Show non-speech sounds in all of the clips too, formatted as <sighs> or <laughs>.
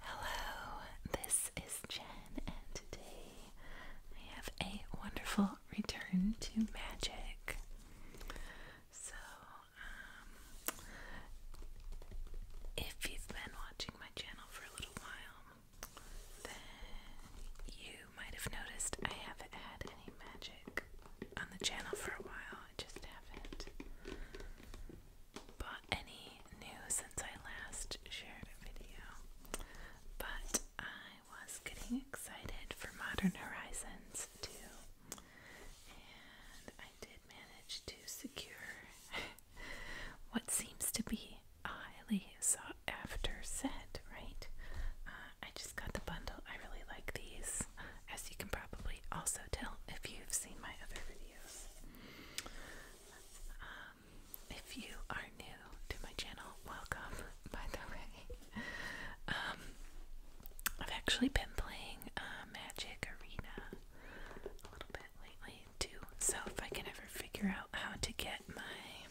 Hello, this is Jen, and today I have a wonderful return to magic. So, um, if you've been watching my channel for a little while, then you might have noticed I haven't had any magic on the channel for a while. I just haven't bought any new since I last shared a video, but I was getting excited for Modern Horizons 2, and I did manage to secure <laughs> what seems to be a highly sought after set, right? Uh, I just got the bundle. I really like these, as you can probably also tell if you've seen my other videos. Um, if you are new to my channel, welcome, by the way. Um, I've actually been playing uh, Magic Arena a little bit lately, too. So if I can ever figure out how to get my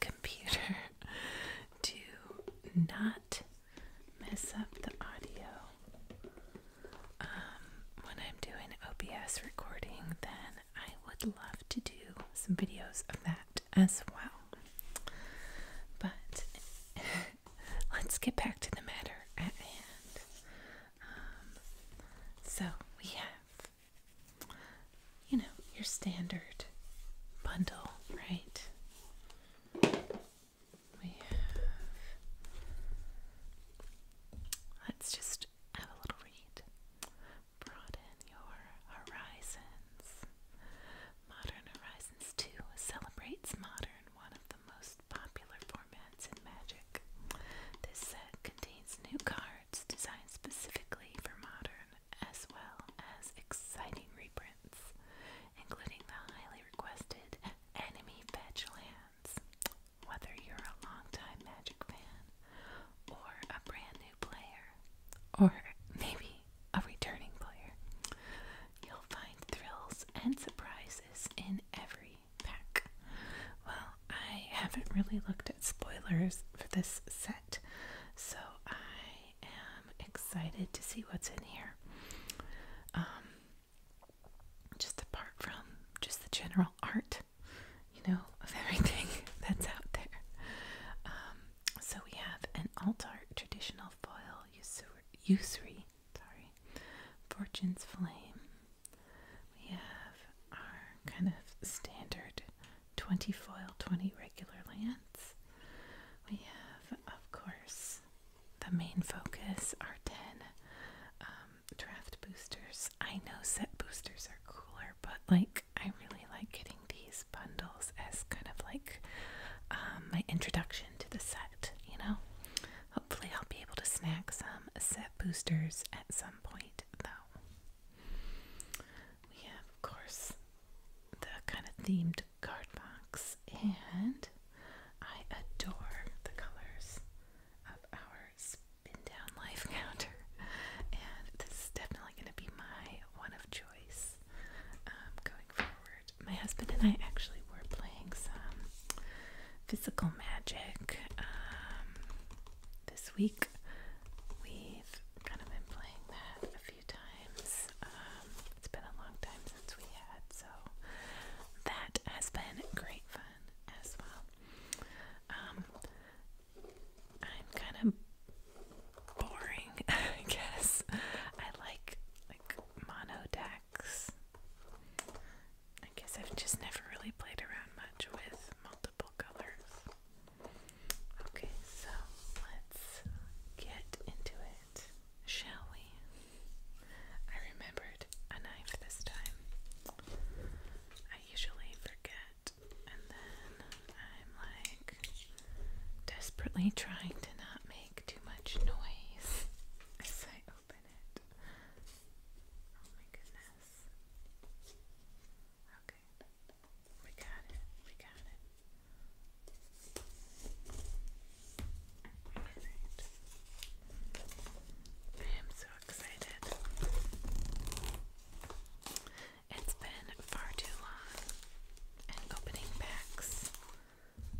computer <laughs> to not mess up the audio. Um, when I'm doing OBS recording, then I would love to do some videos of that as well. But <laughs> let's get back to the matter at hand. Um, so we have, you know, your standard bundle, right? Let's just have a little read. Broaden your horizons. Modern Horizons 2 celebrates modern, one of the most popular formats in Magic. This set contains new cards designed specifically for modern, as well as exciting reprints, including the highly requested Enemy lands. Whether you're a longtime Magic fan, or a brand new player, or maybe a returning player, you'll find thrills and surprises in every pack. Well, I haven't really looked at spoilers for this set, so I am excited to see what's in here. Um, just apart from just the general art, you know, of everything <laughs> that's out there. Um, so we have an altart traditional foil usury, sorry, fortune's flame. We have our kind of standard 20 foil, 20 regular lands. We have, of course, the main focus are 10 um, draft boosters. I know set boosters are cooler, but like I really like getting these bundles as kind of like um, my introduction to the set, you know? Hopefully, I'll be able to snag some set boosters at some point, though. We have, of course, the kind of themed card box and I adore the colors of our spin down life <laughs> counter, and this is definitely going to be my one of choice um, going forward. My husband and I actually were playing some physical magic um, this week. We've kind of been playing that a few times. Um, it's been a long time since we had so that has been great fun as well. Um, I'm kind of boring, <laughs> I guess. I like like mono decks. I guess I've just never really played around much with multiple colors. Okay, so let's get into it shall we? I remembered a knife this time. I usually forget, and then I'm like desperately trying to not make too much noise <laughs> as I open it. Oh my goodness. Okay, we got it, we got it. Alright. I am so excited. It's been far too long, and opening packs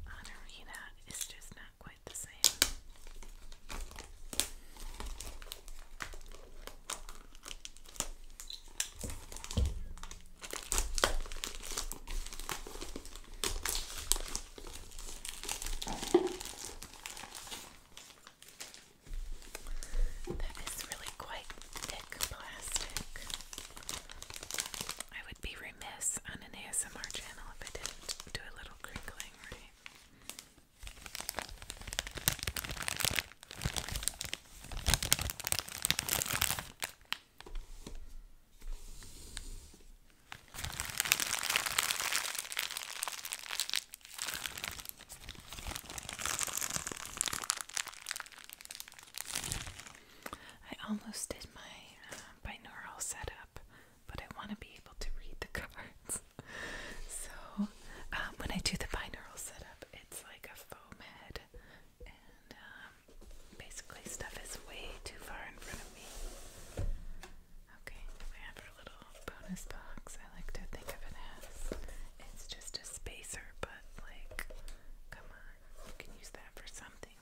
on Arena is just not quite the same. That is really quite thick plastic. I would be remiss on an ASMR channel if I didn't do a little crinkling, right? I almost did my uh, binaural setup, but I want to be able to read the <laughs> cards. so, um, when I do the binaural setup, it's like a foam head, and um, basically, stuff is way too far in front of me. Okay, we little bonus box. I like to think of it as it's just a spacer, but like, come on, you can use that for something.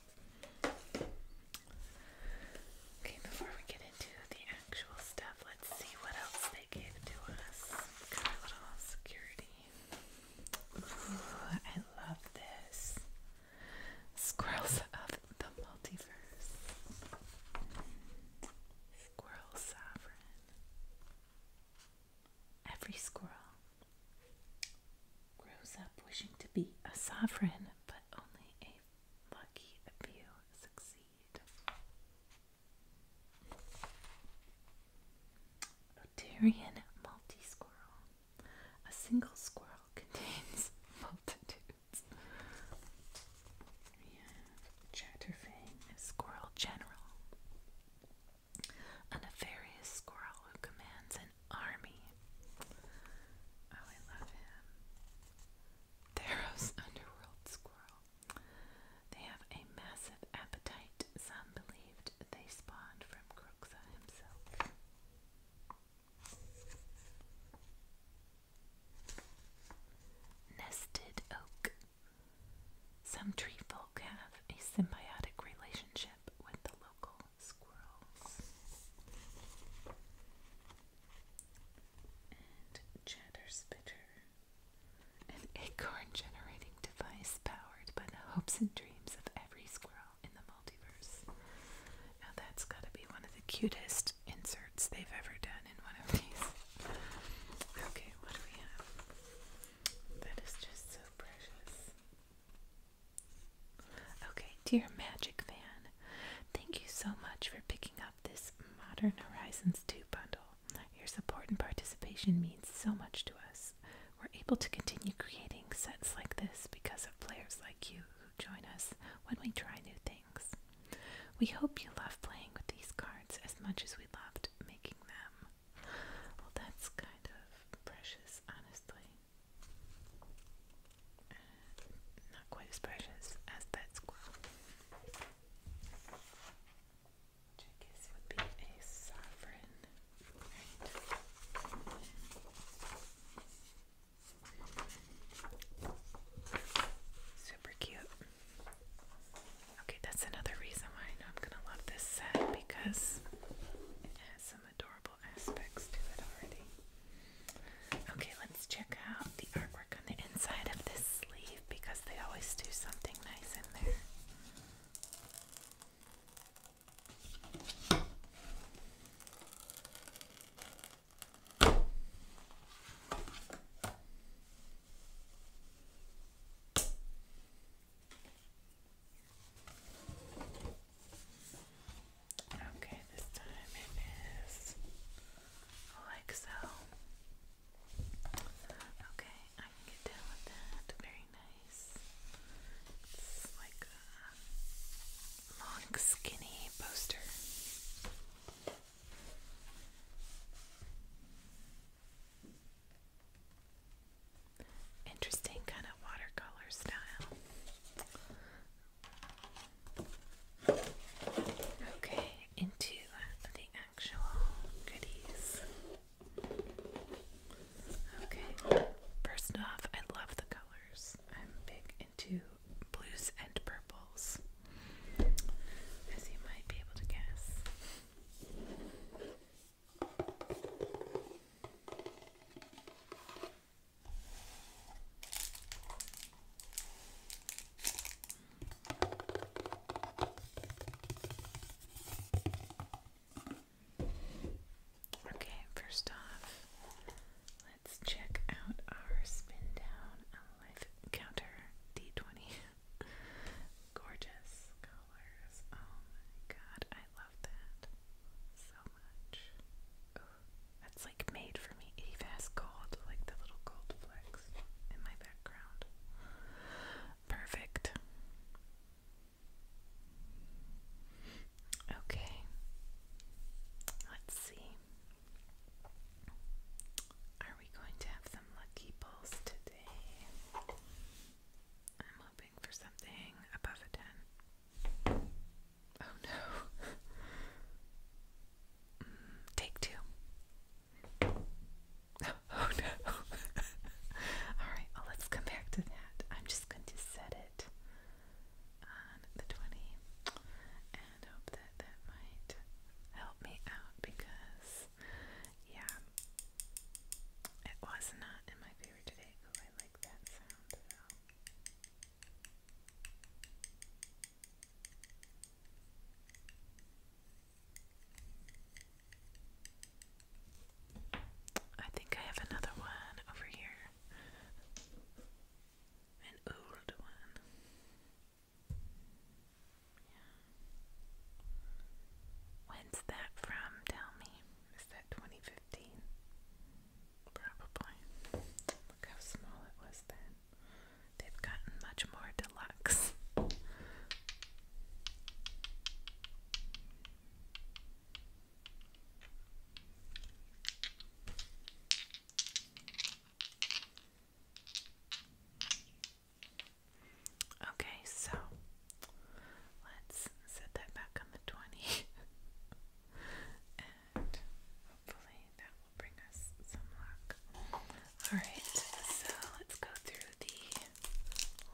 Okay, before we get into the actual stuff, let's see what else they gave to us. Got our little security. Ooh, I love this. Squirrels of the multiverse. Squirrel sovereign. Every squirrel grows up wishing to be a sovereign, but only a lucky few succeed. Otarian multi squirrel. A single squirrel contains <laughs> multitudes. Chapter Five: The squirrel general, a nefarious squirrel who commands an army. Oh, I love him. Theros, <laughs> underworld squirrel. They have a massive appetite. Some believed they spawned from Croxa himself. Nested oak. Some tree folk have a symbiotic relationship with the local squirrels. And chatter spitter. An acorn generating device powered by the hopes and dreams of every squirrel in the multiverse. Now that's gotta be one of the cutest inserts they've ever done in one of these. Okay, what do we have? That is just so precious. Okay, dear Magic Fan, thank you so much for picking up this Modern Horizons 2 bundle. Your support and participation means so much to us. We're able to continue creating sets like this because of players like you join us when we try new things. We hope you love playing with these cards as much as we loved making them. Well, that's kind of precious, honestly. Uh, not quite as precious as that squirrel. I guess would be a sovereign. Super cute. Okay, that's another reason why I know I'm gonna love this set because it has some adorable aspects to it already. Okay, let's check out the artwork on the inside of this sleeve because they always do something nice in there. Okay, this time it is like so. Okay, I can get down with that. Very nice. It's like a long, skinny poster. Interesting kind of watercolor style. Okay, into the actual goodies. Okay, first off, I love the colors. I'm big into blues and purples, as you might be able to guess. Okay, first off, Let's check out our spin down life counter D20. <laughs> Gorgeous colors. Oh my god, I love that so much. that's like made for me. It even gold, like the little gold flecks in my background. Perfect. Okay. Let's see. Are we going to have some lucky pulls today? I'm hoping for something above a 10. Oh no. <laughs> Mm, take two. <laughs> Oh no. <laughs> Alright, well, let's come back to that. I'm just going to set it on the 20 and hope that that might help me out because, yeah, it was not in my favor today. I like that sound I think I have another one over here an old one. When's that from? Tell me. Is that 2015? Probably. Look how small it was then. They've gotten much more deluxe. Okay, so let's set that back on the 20 <laughs> and hopefully that will bring us some luck. Alright, so let's go through the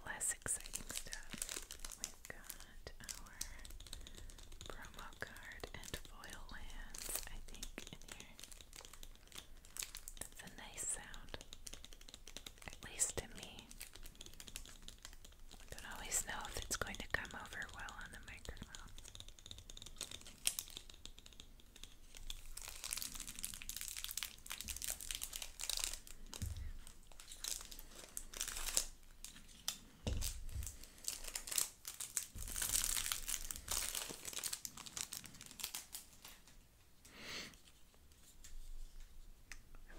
less exciting stuff. We've got promo card and foil lands, I think, in a nice sound. At least to me. I don't always know if it's going to come over well on the microphone.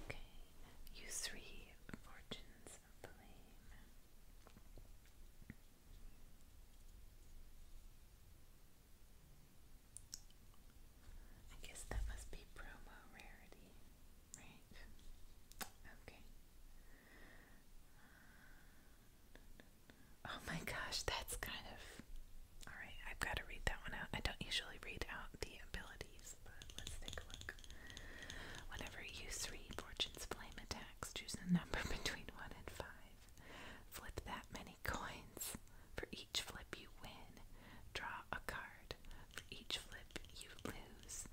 Okay, use three fortunes of blame. I guess that must be promo rarity, right? Okay. Oh my gosh, that's kind of. Alright, I've got to read that one out. I don't usually read out the abilities, but let's take a look. Whenever you three Fortune's Flame attacks, choose a number <laughs> between 1 and 5. Flip that many coins. For each flip you win, draw a card. For each flip you lose.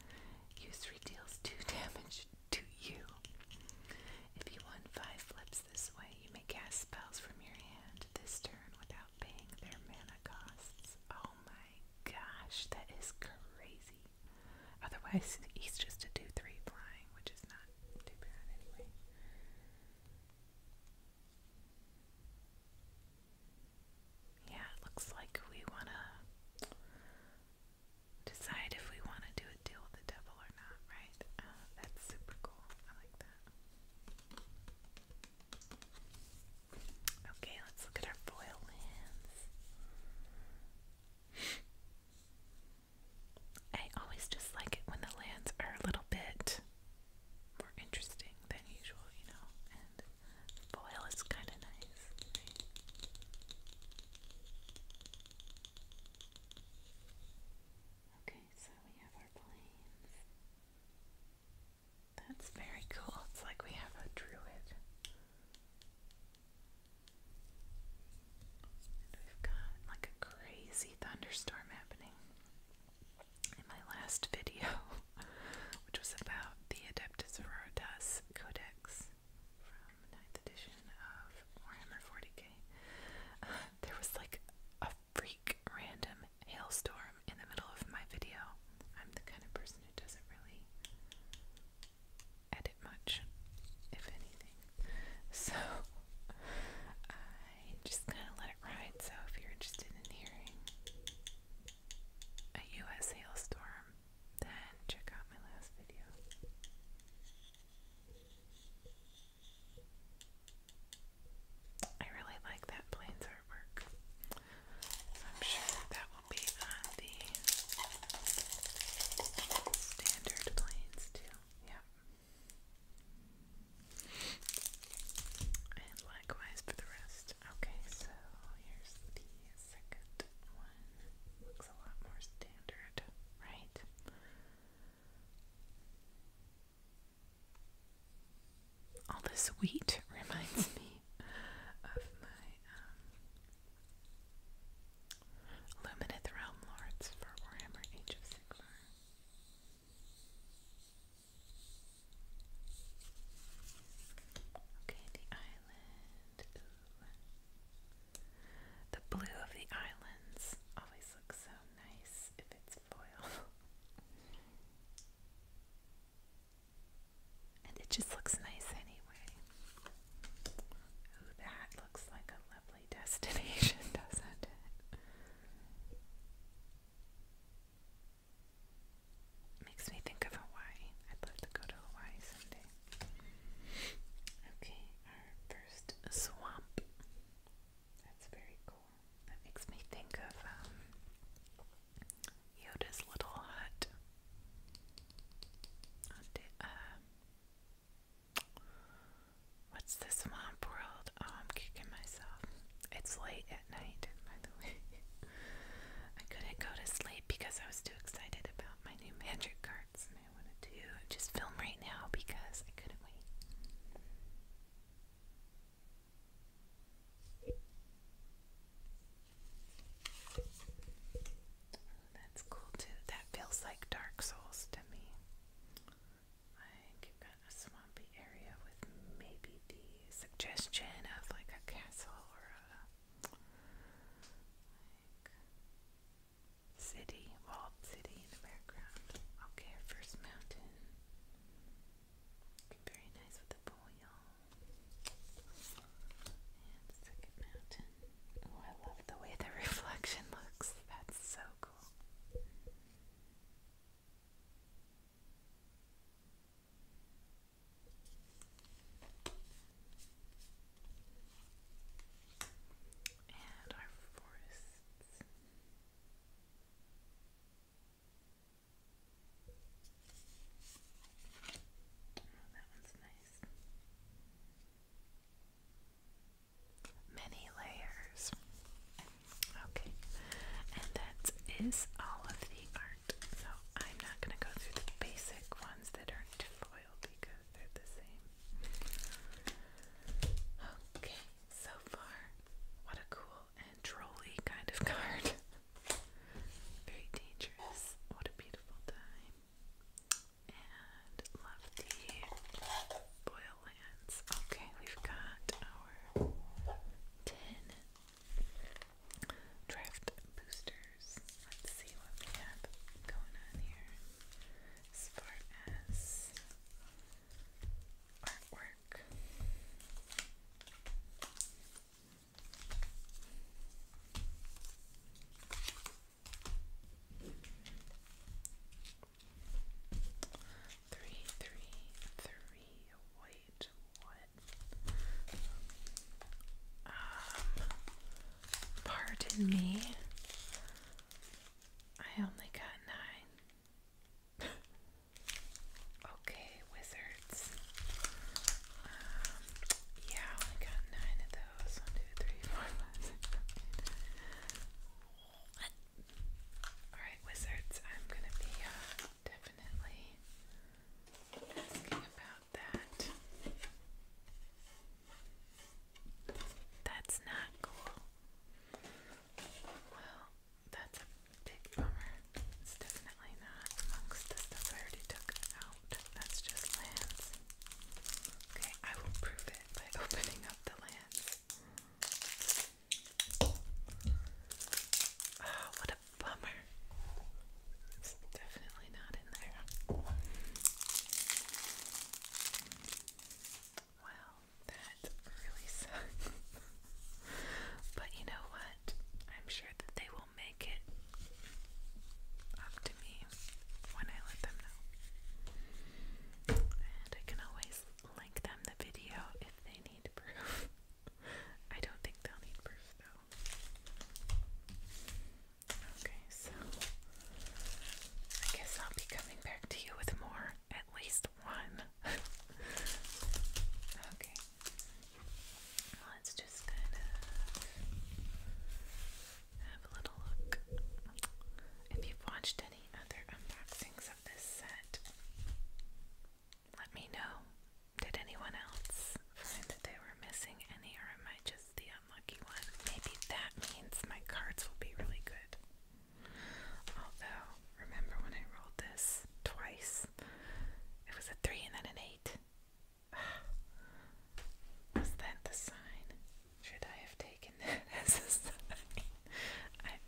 You three deals 2 <laughs> damage to you. If you want five flips this way, you may cast spells from your hand this turn without paying their mana costs. Oh my gosh, that is crazy. Otherwise, he's just a 2 3 flying, which is not too bad anyway. Yeah, it looks like we want to decide if we want to do a deal with the devil or not, right? Uh, that's super cool. I like that. Okay, let's look at our foil lands. I always just it when the lands are a little bit more interesting than usual, you know, foil is kind of nice. Okay, so we have our planes. That's very cool. It's like we have a druid. And we've got like a crazy thunderstorm happening. In my last video, <laughs> which was about the Adeptus Sororitas Codex um, ninth edition of Warhammer 40k, <laughs> there was like a freak random hailstorm in the middle of my video. I'm the kind of person who doesn't really edit much, if anything. <laughs> So I just kind of let it ride. So if you're interested in hearing a U.S. hailstorm then check out my last video. I really like that plains artwork. I'm sure that will be on the standard plains too. Yep. And likewise for the rest. Okay, so here's the second one looks a lot more standard, right? All this wheat <laughs> reminds me of my um, Realm Lords for Warhammer Age of Sigmar. Okay, the island. The blue of the islands always looks so nice if it's foil. and it just looks nice anyway. Ooh, that looks like a lovely destination, <laughs> doesn't it? Makes me think of Hawaii. I'd love to go to Hawaii someday. Okay, our first swamp. That's very cool. That makes me think of um, Yoda's little hut. Uh, what's the swamp world? Oh, I'm kicking myself. It's late at night, by the way. <laughs> I couldn't go to sleep because I was too excited about my new <laughs> magic cards. I wanted to just film right now because I couldn't wait. Oh, that's cool too. That feels like Dark Souls to me. Like you've got a swampy area with maybe the suggestion of like a castle or a city, walled city in the background. Okay, first mountain. Very nice with the pool, second mountain. Oh, I love the way the <laughs> reflection looks. That's so cool and our forests. Oh, that one's nice. Many layers. Okay, and that is all of the art. So I'm not going to go through the basic ones that aren't foil because they're the same. Okay, so far, what a cool and trolly kind of <laughs> card. Very dangerous. What a beautiful time. And love the boil lands. Okay, we've got our 10 draft booster Let's see what we have going on here as artwork. Three, three, three. Wait, what? Um, Pardon me. I only got nine. <laughs> okay, wizards. Um, yeah, I only got nine of those. One, two, three, four, five, six, seven, eight. What? Alright, wizards, I'm gonna be uh, definitely asking about that. That's not cool. Well, that's a big bummer. It's definitely not amongst the stuff I already took out. That's just lands. Okay, I will prove it by <laughs> opening up the lands. Oh, what a bummer definitely not in there. Well, that really sucks. <laughs> but you know what? I'm sure that they will make it up to me when I let them know. And I can always link them the video if they need proof. <laughs> I don't think they'll need proof though. Okay, so I guess I'll be coming back to you with more, at least one. <laughs> okay, let's just kind of have a little look. If you've watched any other unboxings of this set, let me know. Did anyone else find that they were missing any, or am I just the unlucky one. Maybe that means my cards will be really good. Although, remember when I rolled this twice? It was a 3 and then an 8. <sighs> Was that the sign? Should I have taken <laughs> that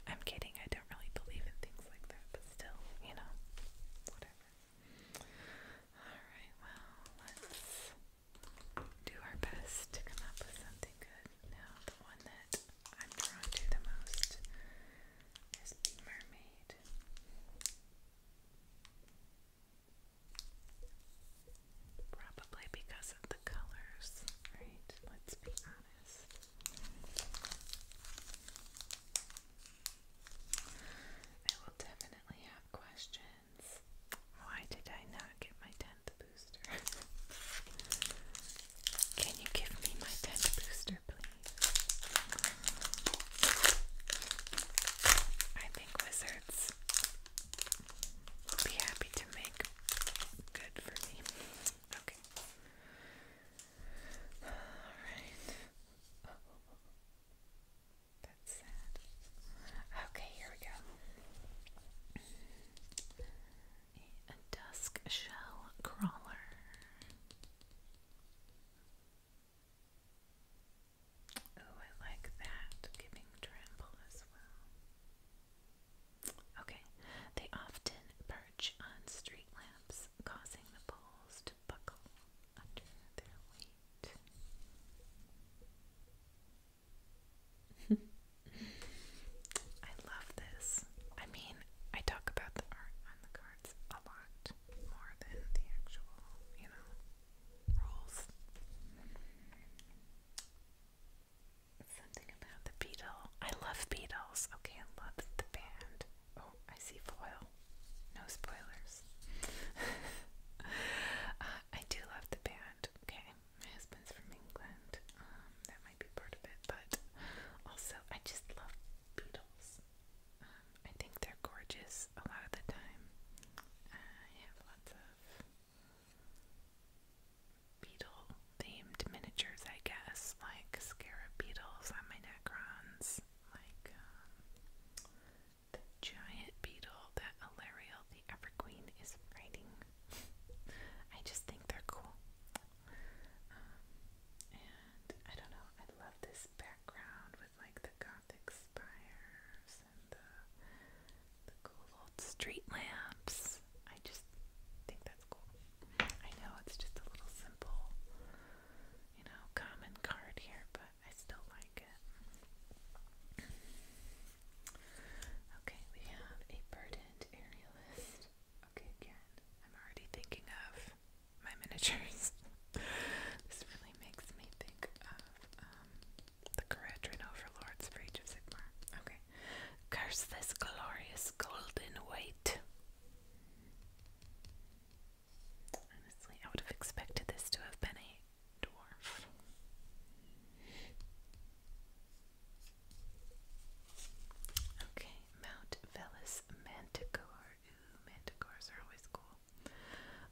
I'm kidding, I don't really believe in things like that, but still, you know, whatever. Alright, well, let's do our best to come up with something good. Now, the one that I'm drawn to the most is the mermaid. Probably because of the colors, right? Let's be honest. I will definitely have questions why did I not get my 10th booster? Can you give me my 10th booster, please? I think wizards would be happy to make good for me. Okay. Alright. That's sad. Okay, here we go. A dusk shell crawler. Oh, I like that. Giving trample as well. Okay. They often perch on street lamps, causing the poles to buckle under their weight. <laughs> I love this. I mean, I talk about the art on the cards a lot more than the actual, you know, rules. Something about the beetle. I love Beatles. Okay, I love the band. Oh, I see foil. No spoilers. <laughs> Uh, I do love the band. England. Okay, my husband's from England. Um, that might be part of it, but also I just love beetles. Um, I think they're gorgeous a lot of the time. I have lots of beetle themed miniatures, I guess, like scarab beetles on my Necrons, like um, the giant beetle that Alariel the Everqueen is fighting. <laughs> I just think they're cool. Um, and I don't know, I love this background with like the gothic spires and the, the cool old street lamps. I just think that's cool. I know it's just a little simple, you know, common card here, but I still like it. Okay, we have a burdened aerialist. Okay, again, I'm already thinking of my <laughs> miniatures. this really makes me think of um, the Caradhran overlords for of Sigmar. Okay. Curse this glorious golden weight. Honestly, I would have expected this to have been a dwarf. Okay, Mount Velis Manticore. Ooh, manticores are always cool.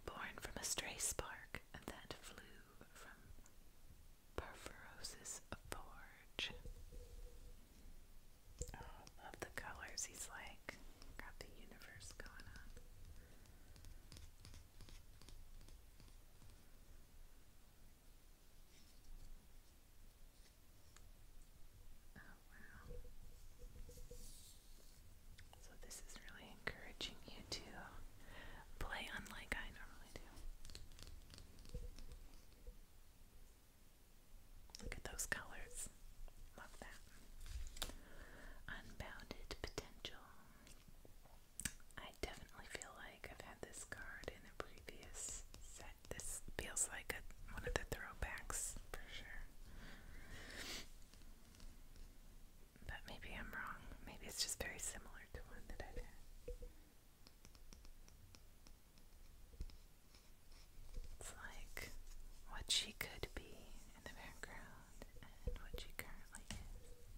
Born from a stray spark that flew from Perforosis forge. Oh, love the colors. He's like got the universe going on. Oh, So, this is really encouraging you to play unlike I normally do. Look at those colors. Love that. Unbounded potential. I definitely feel like I've had this card in a previous set. This feels like one of the throwbacks for sure. But maybe I'm wrong. Maybe it's just very similar to one that I've had. It's like what she could be in the background and what she currently is.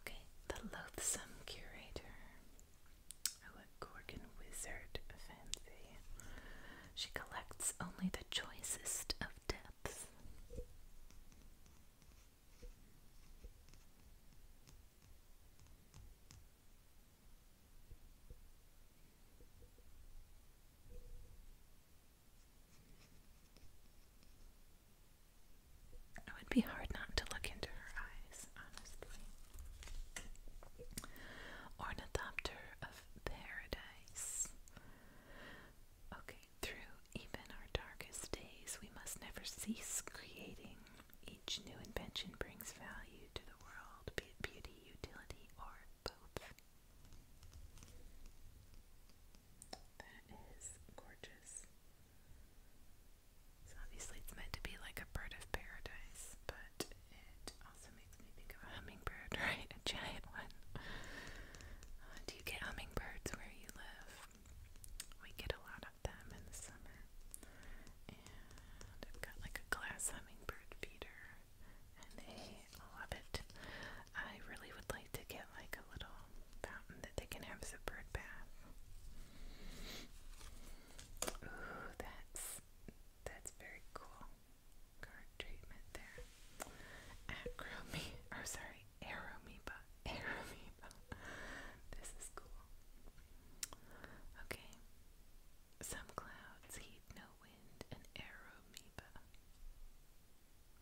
Okay, the loathsome curator. Oh, a Gorgon wizard fancy. She collects only the choicest of depths. It would be hard not to look into her eyes, honestly. Ornithopter of paradise. Okay, through even our darkest days, we must never cease creating, each new invention brings value to the world, be it beauty, utility, or both. That is gorgeous. So obviously it's meant to be like a bird of paradise, but it also makes me think of hummingbird, <laughs> right? A giant one. Uh, do you get hummingbirds where you live? We get a lot of them in the summer. And have got like a glass hummingbird feeder and they love it. I really would like to get like a little fountain that they can have as a bird bath. Ooh, that's that's very cool. treatment there. Acromi or sorry, Aromiba. <laughs> Aromiba. This is cool. Okay. Some clouds heed no wind, an aeromoeba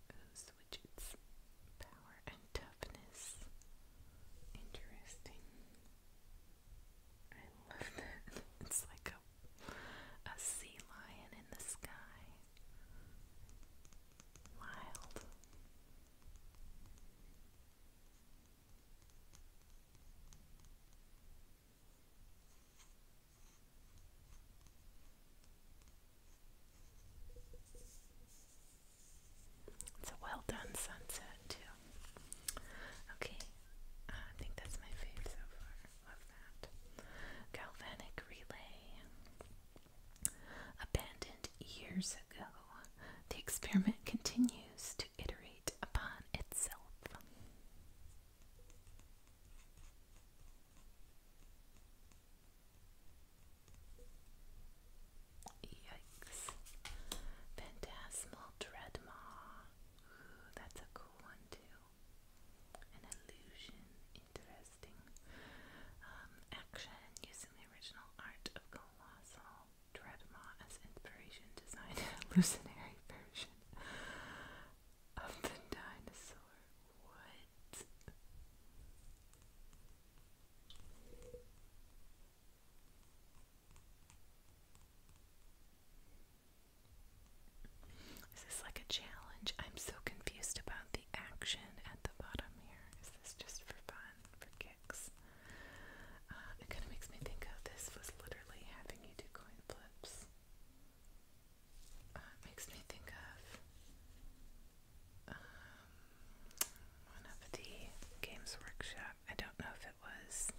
whose which its power and toughness. Interesting. I love that. <laughs> It's like a a sea lion in the sky. Wild. It's a well done sunset too. Okay, uh, I think that's my fave so far. Love that. Galvanic relay. Abandoned years the experiment continues to iterate upon itself. Yikes. Phantasmal Dreadmaw. Ooh, that's a cool one too. An illusion. Interesting. Um, action using the original art of Colossal. Dredma as inspiration designed a <laughs> version of the dinosaur. What? Is this like a challenge? I'm so confused about the action at the bottom here. Is this just for fun? For uh, it kind of makes me think of this was literally having you do coin flips. Uh, makes me think of um, one of the Games Workshop. I don't know if it was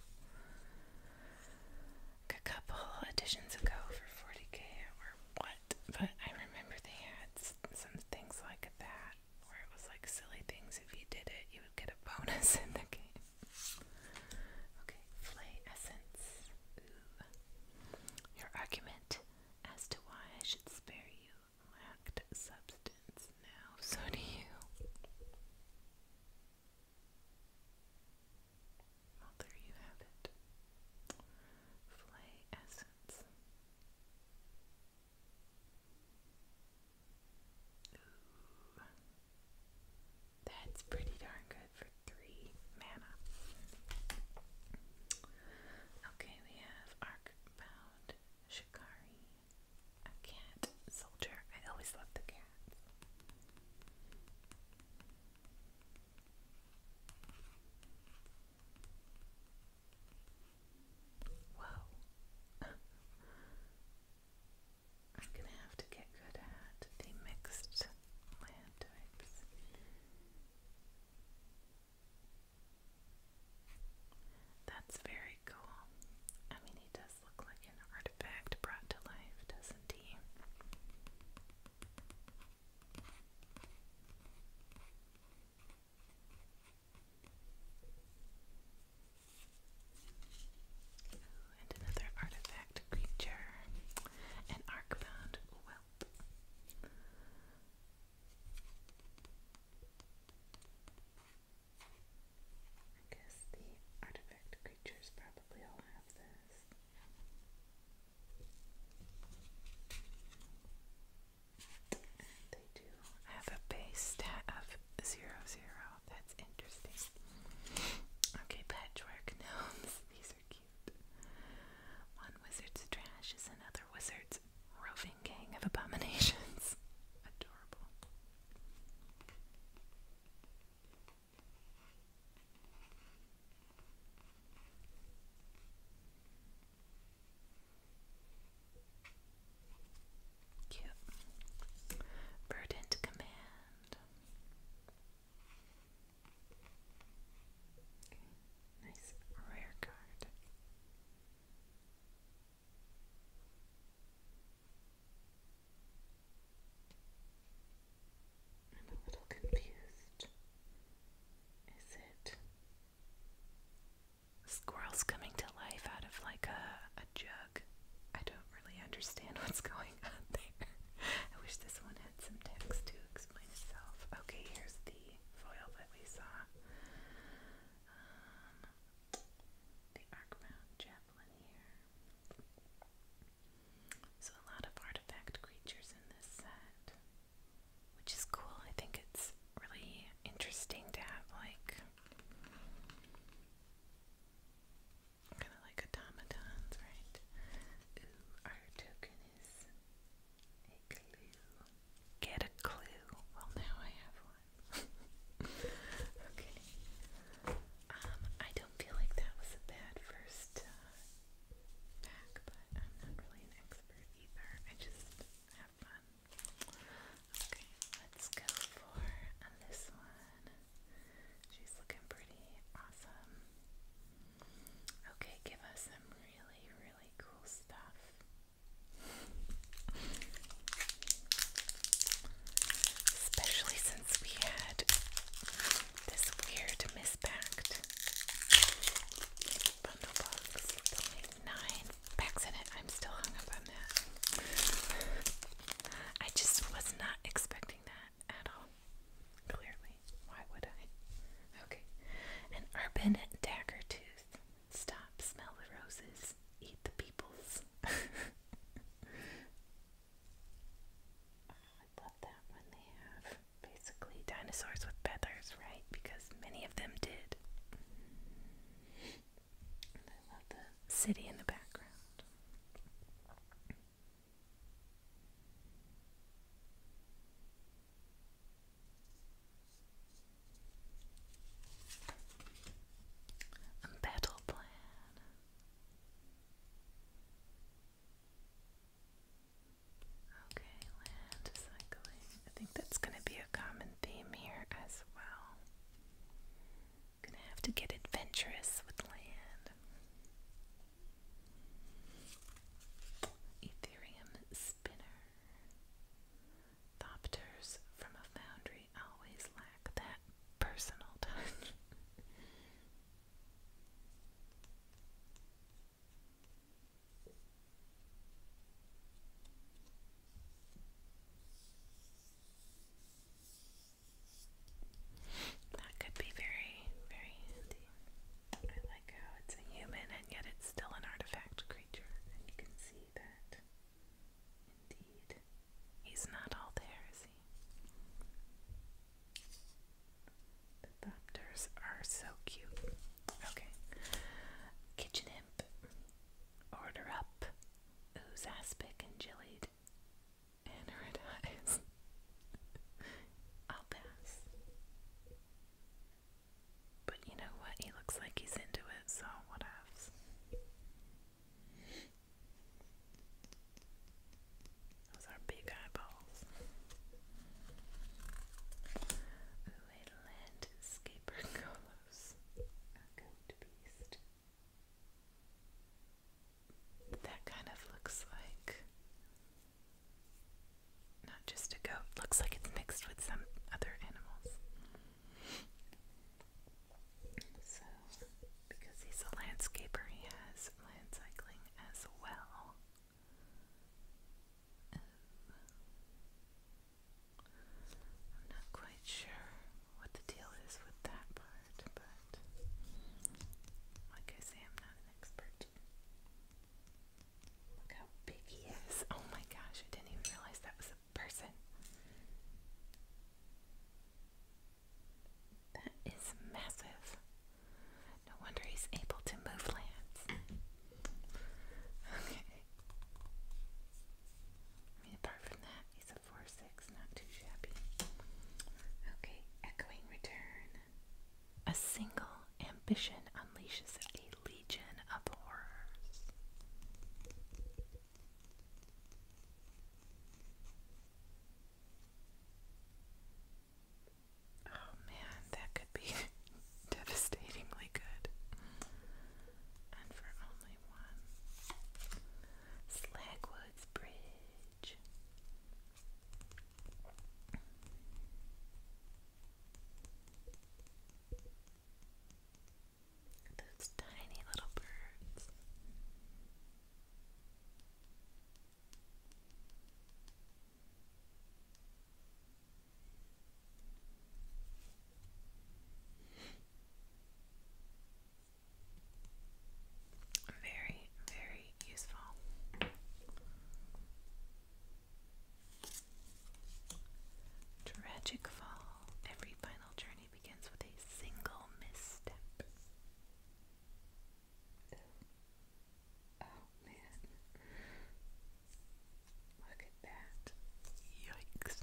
a couple editions ago for 40k or what, but I remember they had some things like that where it was like silly things if you did it, you would get a bonus in the game. Okay, Flay Essence. Your argument as to why I should spare you lacked substance. Now, so do you. Well, there you have it. Flay Essence. That's pretty darn good for three mana. Okay, we have Arcbound Shikari. A cat soldier. I always love the cats. Whoa. <laughs> I'm gonna have to get good at the mixed land types. That's very cool. I mean, he does look like an artifact brought to life, doesn't he? and another artifact creature. An arcbound whelp. I guess the artifact creatures probably all have this. they do have a base stat of zero zero. That's interesting. Okay, patchwork gnomes. <laughs> These are cute. One wizard's trash is another wizard's roving gang of abominations. <laughs> Adorable. Cute. Verdant Command. Okay. Nice rare card. I'm a little confused. Is it squirrels coming to life out of like a, a jug. I don't really understand <laughs> what's going on there. I wish this one had some text to explain itself. Okay, here's the foil that we saw. Um, the Arcmount Chaplain here. So a lot of artifact creatures in this set, which is cool. I think it's really interesting to have like Kind of like automatons, right? our token is a clue. Get a clue. Well, now I have one. <laughs> okay. Um, I don't feel like that was a bad first uh, but I'm not really an expert either. I just have fun. Okay, let's go for um, this one. She's looking pretty awesome. Okay, give us some really, really cool stuff. Especially since we had this weird mispacked bundle box with Back's in it. I'm still hung up on that. I just was not expecting that at all. Clearly. Why would I? Okay. An urban dagger tooth. Stop, smell the roses, eat the peoples. <laughs> I love that one. They have basically dinosaurs with feathers, right? Because many of them did the city in the background. battle plan. Okay, land cycling. I think that's going to be a common theme here as well. Gonna have to get adventurous with land. Ethereum spinner. Thopters from a foundry always lack that personal touch. That could be very, very handy. I like how it's a human and yet it's still an artifact creature, you can see that. Indeed. He's not all there, is he? The Thopters are so cute. Okay. Kitchen Imp. Order up. Ooze aspic and jellied. And <laughs> I'll pass. But you know what? He looks like he's into it, so what else? Those are big eyeballs. Ooh, a landscaper <laughs> beast. That kind of looks like not just a goat, looks like it's mixed with some other animals. So, because he's a landscaper, he has land cycling as well. Um, I'm not quite sure what the deal is with that part, but like I say, I'm not an expert. Look how big he is. Oh my gosh, I didn't even realize that was a person. That is massive. No wonder he's able to move lands. <laughs> Okay. I mean, apart from that, he's a 4-6, not too shabby. Okay, echoing return. A single ambition unleashes a legion of horrors. Oh man, that could be <laughs> devastatingly good. And for only same one. Slagwoods Bridge. Those tiny little birds. Very, very useful. Tragic fall. Every final journey begins with a single misstep. Oh, oh man. Look at that. Yikes.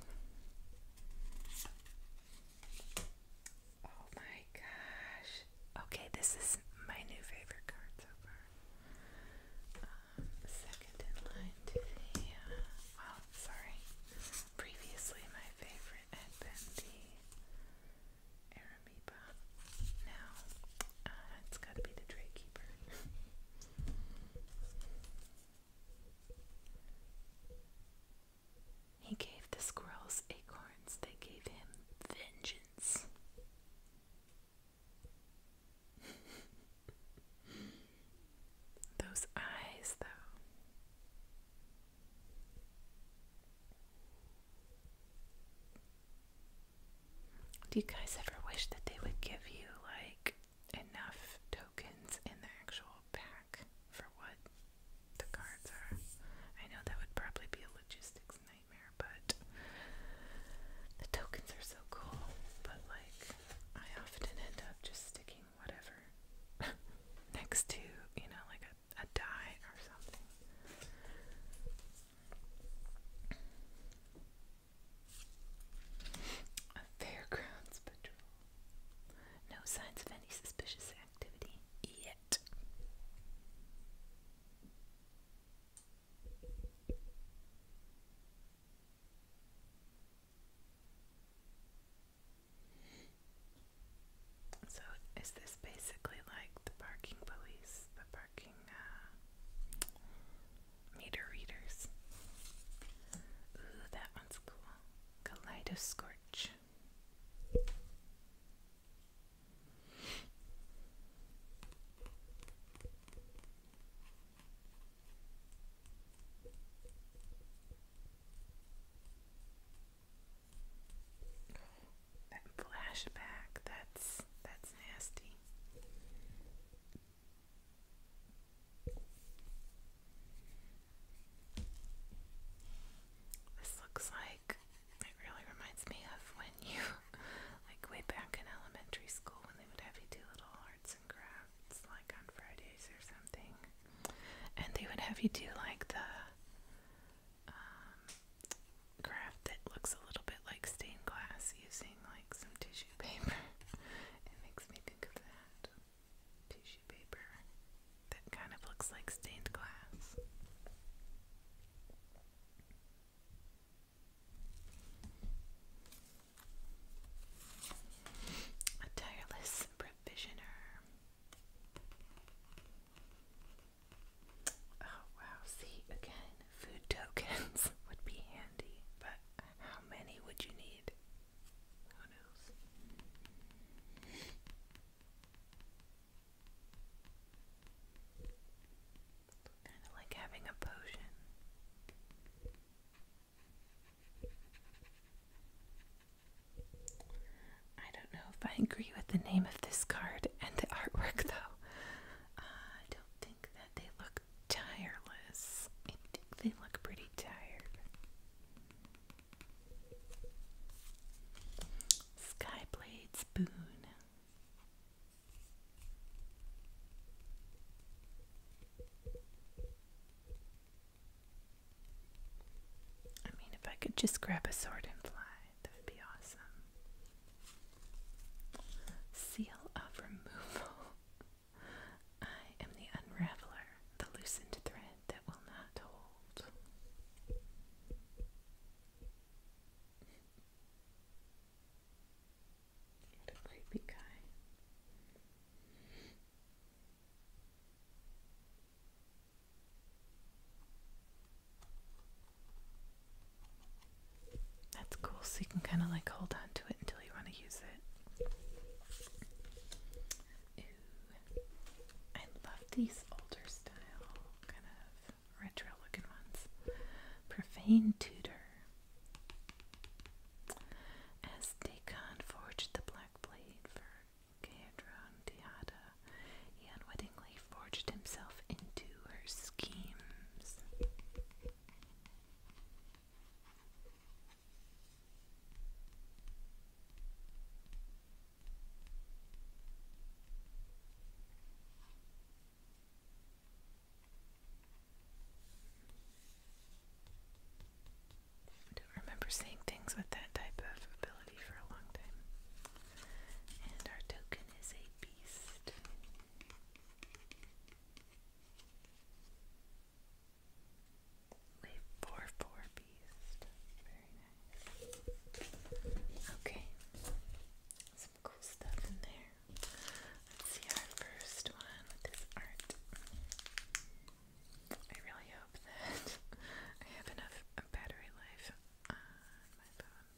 Oh my gosh. Okay, this is my new favorite card so far. Um, second in line to uh, sorry. Previously, my favorite had been the Aramiba. Now, uh, it's gotta be the Drake Keeper. He gave the squirrels acorns They gave him vengeance. <laughs> Those eyes, though. Do you guys ever wish that they would give you, like, enough tokens in the actual pack for what the cards are. I know that would probably be a logistics nightmare, but the tokens are so cool. But like, I often end up just sticking whatever <laughs> next to, you know, like a, a die or something. A fairgrounds patrol. No signs of any suspicious activity yet. So, is this basically like the parking police, the parking uh, meter readers? Ooh, that one's cool. Kaleidoscorch. That flashback, that's that's nasty. This looks like it really reminds me of when you, <laughs> like way back in elementary school, when they would have you do little arts and crafts, like on Fridays or something. And they would have you do like the um, craft that looks a little bit like stained glass using like some tissue paper. <laughs> it makes me think of that tissue paper that kind of looks like stained glass. A tireless provisioner. Oh wow, see again, food tokens <laughs> would be handy, but how many would you need? Kind of like having a potion. I don't know if I agree with the name of this card and the artwork, though. Uh, I don't think that they look tireless. I think they look pretty tired. Skyblade Spoon. I mean, if I could just grab a sword and fly, that would be awesome. Seal of removal. <laughs> I am the unraveler, the loosened thread that will not hold. What a creepy guy. That's cool, so you can kind of like hold on to it until you want to use it. I love these older style kind of retro looking ones. Profane Tudor. As Dagon forged the black blade for Caedron Diada, he unwittingly forged himself into her schemes don't remember seeing things with that type of ability for a long time. And our token is a beast four four beast. Okay. Some cool stuff in there. Let's see our first one with this art. I really hope that <laughs> I have enough battery life on my phone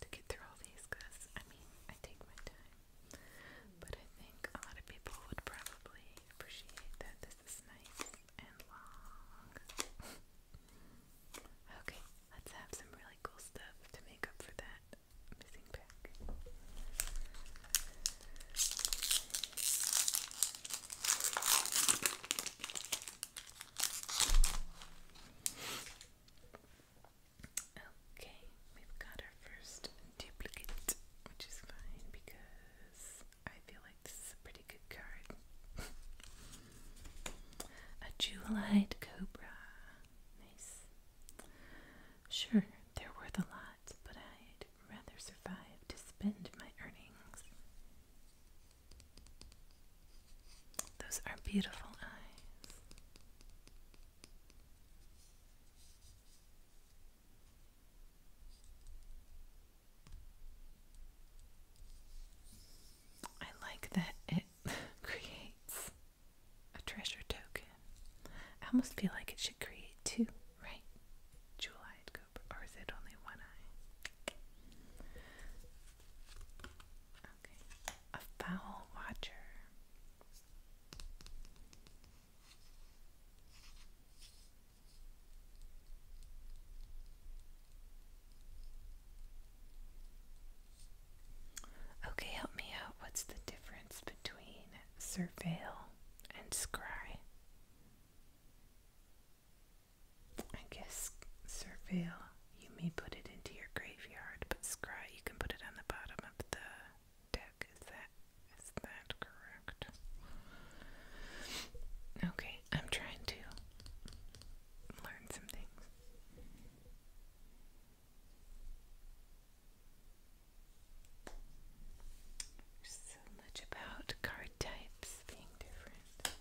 to get through all these because I mean, I take my time. But I think a lot of people would probably appreciate that <laughs> okay, let's have some really cool stuff to make up for that missing pack. Okay, we've got our first duplicate, which is fine because I feel like this is a pretty good card. <laughs> a jewelite cobra. Nice. Sure, they're worth a lot, but I'd rather survive to spend my earnings. Those are beautiful eyes. I like that it <laughs> creates a treasure token. I almost feel like it should create two, right? Jewel eyed cobra, or is it only one eye? Okay, a foul watcher. Okay, help me out. What's the difference between surveil and scry? I guess surveil you may put it into your graveyard, but scry you can put it on the bottom of the deck. Is that is that correct? Okay, I'm trying to learn some things. so much about card types being different.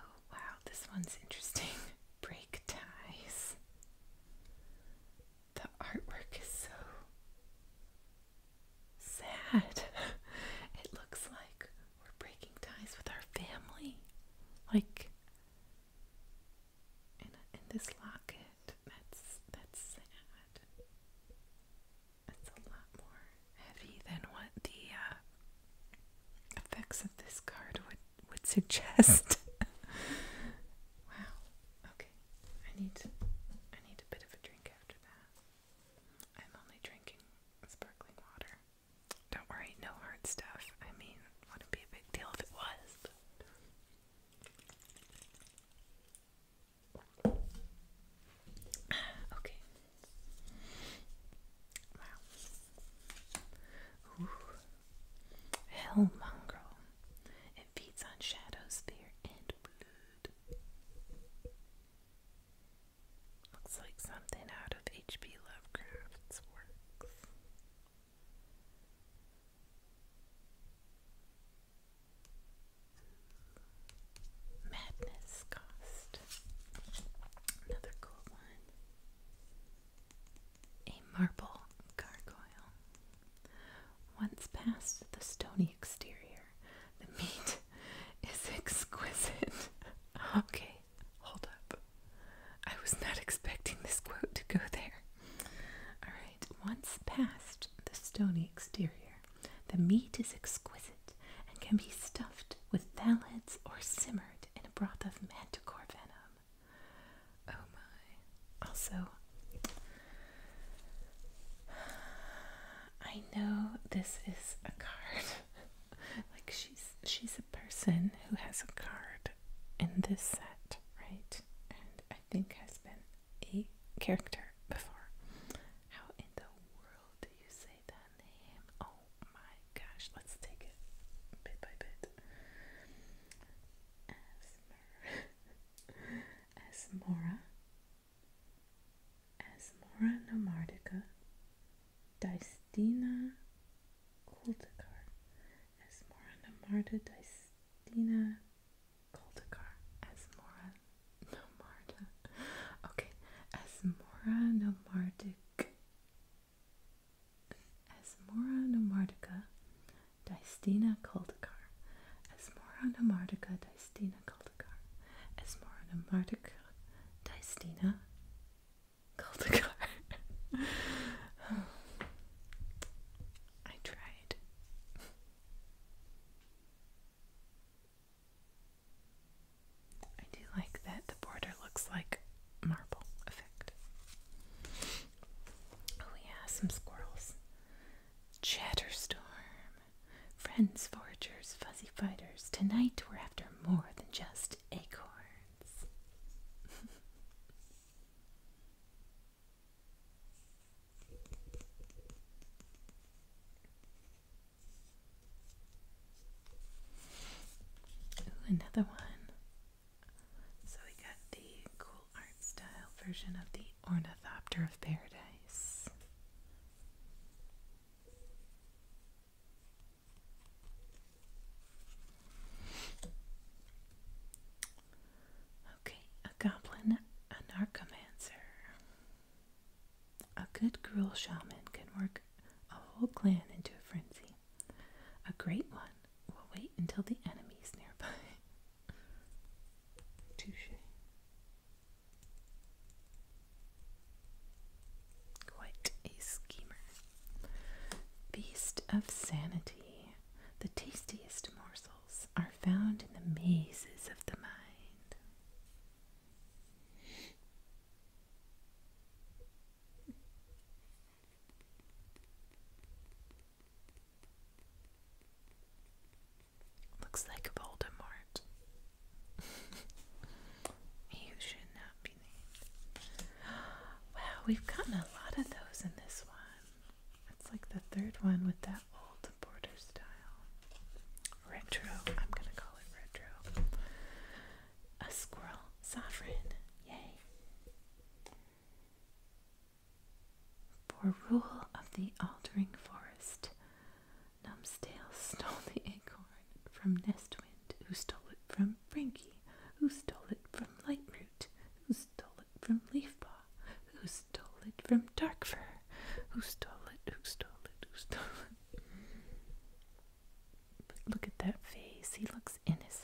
Oh wow, this one's interesting. <laughs> Break ties. The artwork is so sad. <laughs> It looks like we're breaking ties with our family. Like in, in this locket. That's that's sad. That's a lot more heavy than what the uh, effects of this card would would suggest. <laughs> wow. Okay. I need I need a bit of a drink I'm only drinking sparkling water. Don't worry, no hard stuff. I mean, wouldn't be a big deal if it was. <sighs> okay. Wow. Ooh. It feeds on shadows, fear, and blue. Looks like something out of H.P. Lovecraft's works. Madness Cost. Another cool one. A marble gargoyle. Once past the stony exterior, the meat <laughs> is exquisite. <laughs> okay, hold up. I was not expecting this quote to go there. Alright, once past the stony exterior, the meat is exquisite and can be stuffed with thalids or simmered in a broth of manticore venom. Oh my. Also, I know this is a card. <laughs> like she's she's a person who has a card in this set, right? And I think has been a character before. How in the world do you say that name? Oh my gosh, let's take it bit by bit. Asmer <laughs> Asmora Asmora nomardica, Dystina culticar, Asmora nomarda, Dystina culticar, Asmora nomarda. Okay, Asmora nomardic, Asmora nomardica, Dystina culticar, Asmora nomardica, Dystina Kaldekar Esmorana Mardukar Daistina Kaldekar <sighs> I tried I do like that the border looks like marble effect. Oh yeah, some squirrels. Chatterstorm. Friends, foragers, fuzzy fighters, tonight we're after more than just acorns. <laughs> Ooh, another one. So we got the cool art style version of the Ornithopter of Paradise. Okay, a goblin, a narcomancer. A good gruel shaman can work a whole clan into a frenzy. A great one will wait until the enemy's nearby. <laughs> Touche. Quite a schemer. Beast of sanity. The tastiest morsels are found in the mazes of the mind. Looks like Voldemort. you <laughs> should not be named. Wow, we've gotten a lot of those in this one. It's like the third one with that old border style. Retro. I'm gonna call it retro. A squirrel sovereign. Yay. For rule of the altering forest, Numsdale stole the acorn from Nestwind, who stole it from Frankie, who stole it from Lightroot, who stole it from Leafpaw, who stole it from Darkfur, who stole it, who stole it, who stole it. But look at that face, he looks innocent.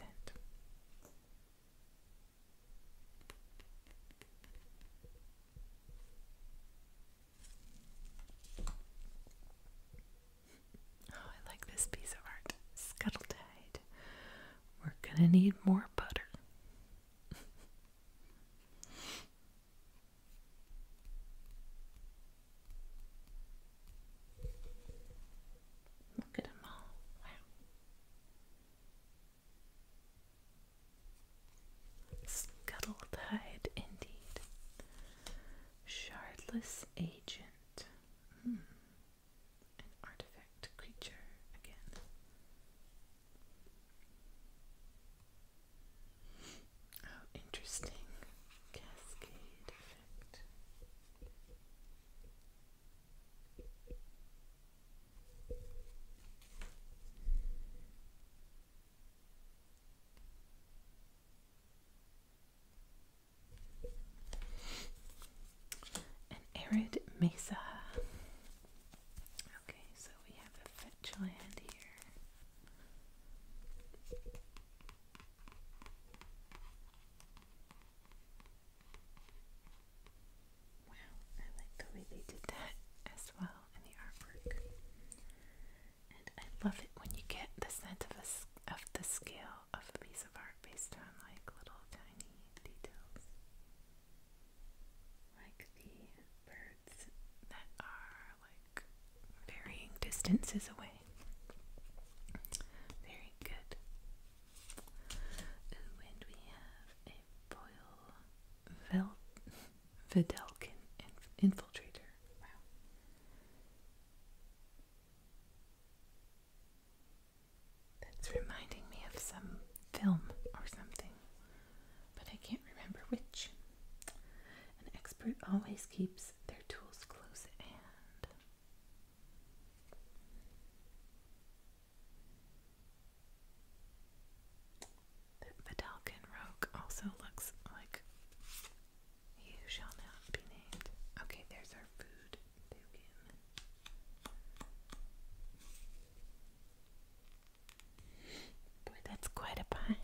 Oh, I like this piece of art. Scuttletide. We're gonna need more butter. <laughs> Look at them all. Wow. Scuttletide, indeed. Shardless agent. Hmm. An artifact creature again. Oh, interesting. Cascade effect. An arid mesa. Okay, so we have a fetch land here. Wow, I like the way they did that as well in the artwork. And I love it when you get the sense of, a, of the scale of a piece of art based on like little tiny details. Like the birds that are like varying distances away. Very good. Ooh, and we have a foil vel Videlkin infiltrator. Wow. That's reminding me of some film or something, but I can't remember which. An expert always keeps their tools close at hand. The Vidalcan Rogue also looks like you shall not be named. Okay, there's our food Boy, that's quite a pie.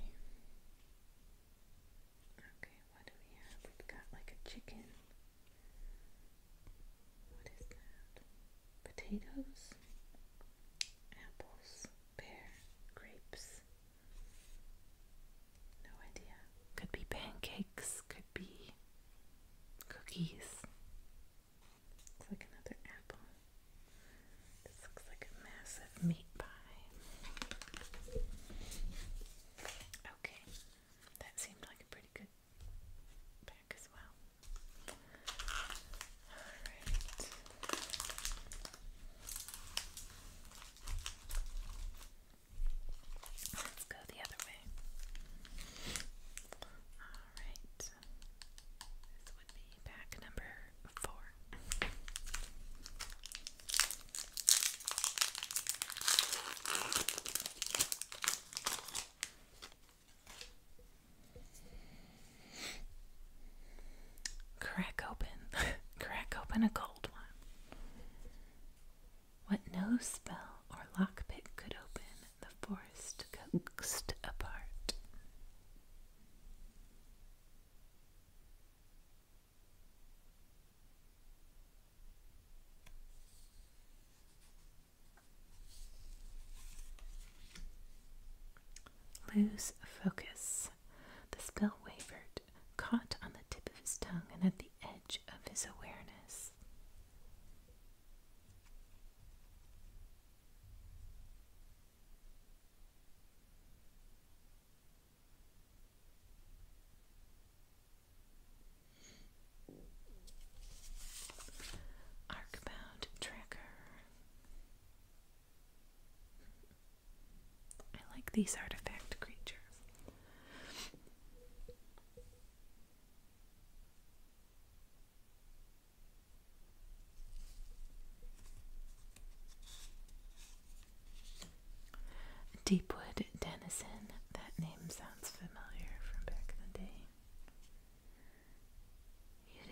Okay, what do we have? we got like a chicken. What is that? potatoes, apples, pear, grapes. No idea. Could be pancakes, could be cookies. Looks like another apple. This looks like a massive meat pie. Okay, that seemed like a pretty good pack as well. Alright. Let's go the other way. Alright. This would be pack number four. Crack open, <laughs> crack open a cold one. What no spell or lockpick could open, the forest coaxed apart lose focus. The spell wavered, caught on the tip of his tongue and at the edge of his awareness. Arcbound Tracker. I like these artifact creatures. Deepwood Denison, that name sounds familiar from back in the day.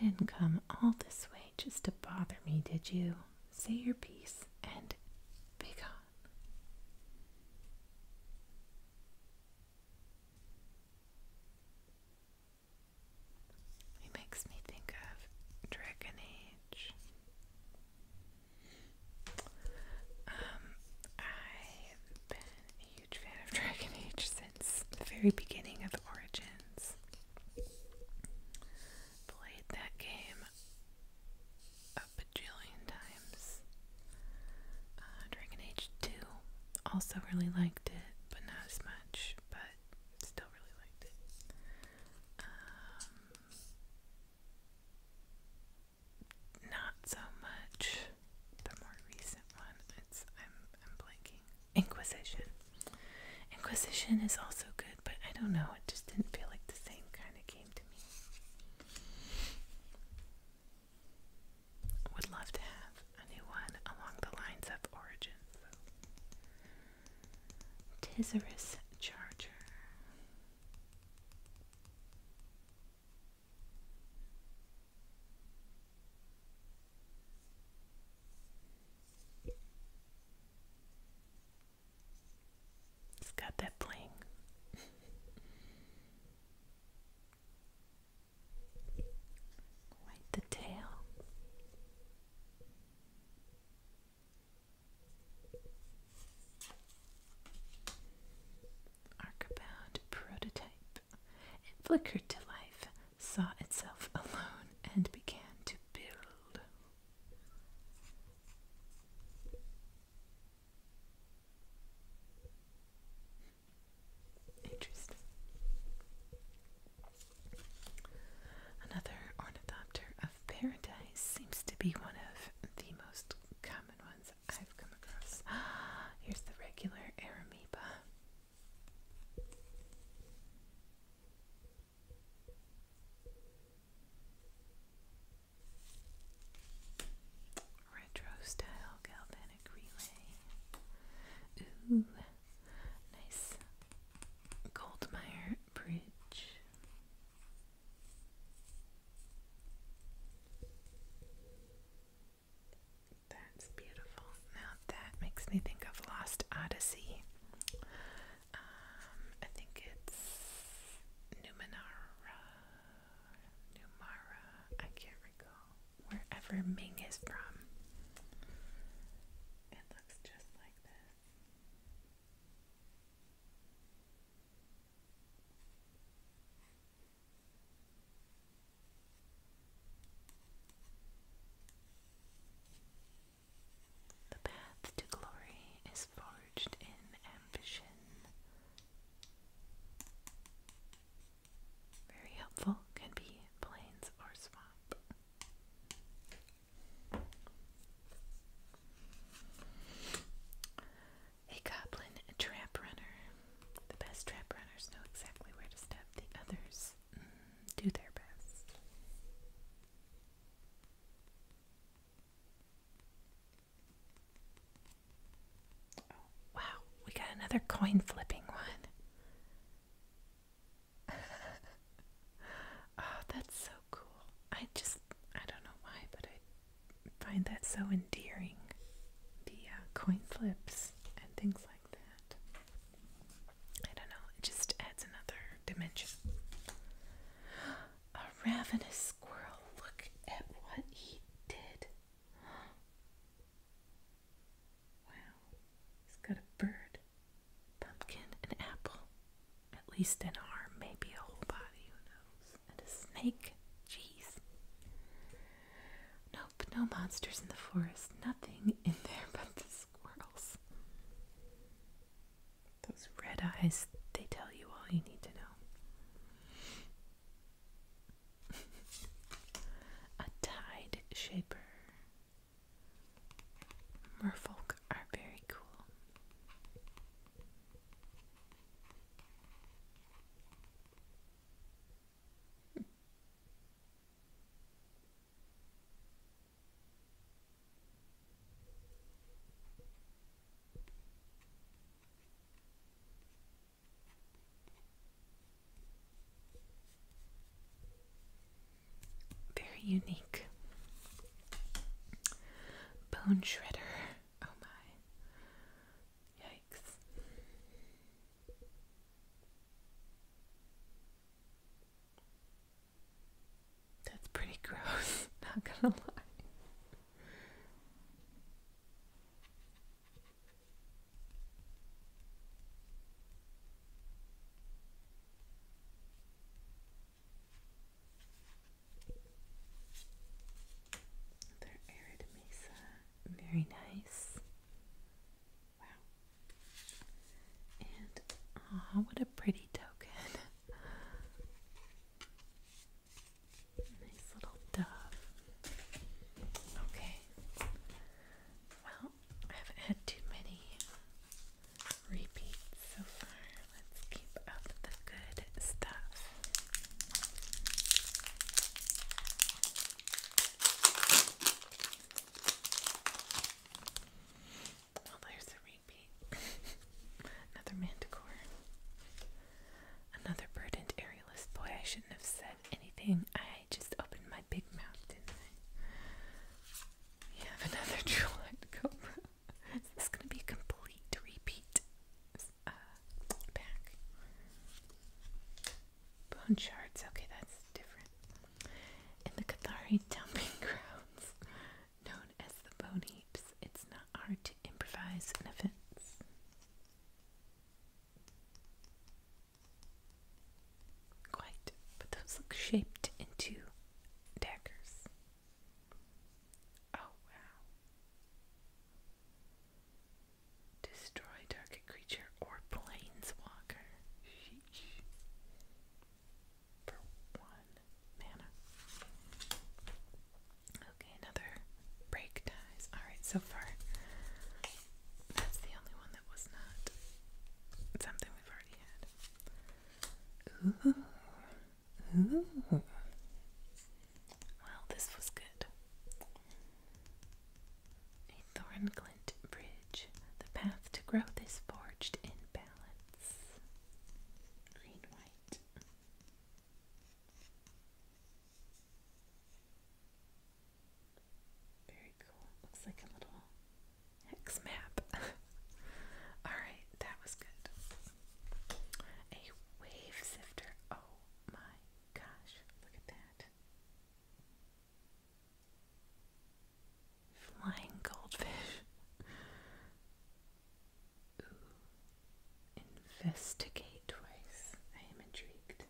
You didn't come all this way just to bother me, did you? Say your piece and be gone. It makes me think of Dragon Age. Um, I've been a huge fan of <laughs> Dragon Age since very beginning of Origins. Played that game a bajillion times. Uh, Dragon Age 2, also really liked it, but not as much, but still really liked it. Um, not so much the more recent one. It's I'm I'm blanking. Inquisition. Inquisition is also good, but I don't know, it just didn't feel like the same kind of game to me. Would love to have a new one along the lines of Origin. Tizerus Charger. It's got that bling. Quite the tail. Arcabound prototype and flickered to life saw itself alone and began to build. Interesting. Another ornithopter of paradise seems to be one of the most common ones I've come across. <gasps> Here's the regular Aramiba. Retro style galvanic relay. Ooh, nice Goldmeyer bridge. That's beautiful. Now that makes me think of Lost Odyssey. Um, I think it's Numenara. Numara. I can't recall. Wherever Ming is from. It looks just like this. The path to glory is forged in ambition. Very helpful can be plains or swamp. A goblin trap runner. The best trap runners know exactly where to step the others. Mm, do their best. wow, we got another coin flipping one. <laughs> oh, that's so cool. I just, I don't know why, but I find that so endearing. The uh, coin flips and things like I don't know, it just adds another dimension. A ravenous squirrel, look at what he did. Wow, he's got a bird, pumpkin, an apple, at least an arm, maybe a whole body, who knows, and a snake. Jeez. Nope, no monsters in the forest, nothing in there <laughs> but this squirrels. Those red eyes, they tell you all you need to know. A tide shaper. Merfolk are very cool. Very unique. Bone shredder. Oh my. Yikes. That's pretty gross, <laughs> not gonna lie. Another arid mesa, very nice. Wow. And aw, what a pretty token. <laughs> nice little dove. Okay. Well, I haven't had too many repeats so far. Let's keep up the good stuff. Oh, there's a repeat. <laughs> Another manticore. Another burdened aerialist. Boy, I shouldn't have said anything. I just opened my big mouth, didn't I? We have another <laughs> true-eyed cobra. Is going to be a complete repeat? back. Uh, Bone shards. Okay, that's different. In the Cathari dumping <laughs> grounds known as the bone heaps, it's not hard to improvise an offense. Quite, but those look shaped into daggers. Oh wow. Destroy target creature or planeswalker for one mana. Okay, another break dies. Alright, so far that's the only one that was not something we've already had. Ooh. Ooh. Well, this was good. A thorn glint bridge the path to growth is forged in balance. Green, white. Very cool. Looks like a little X map. <laughs> Alright, that was good. A wave sifter. Oh my gosh, look at that. Flying goldfish. Investigate twice. I am intrigued.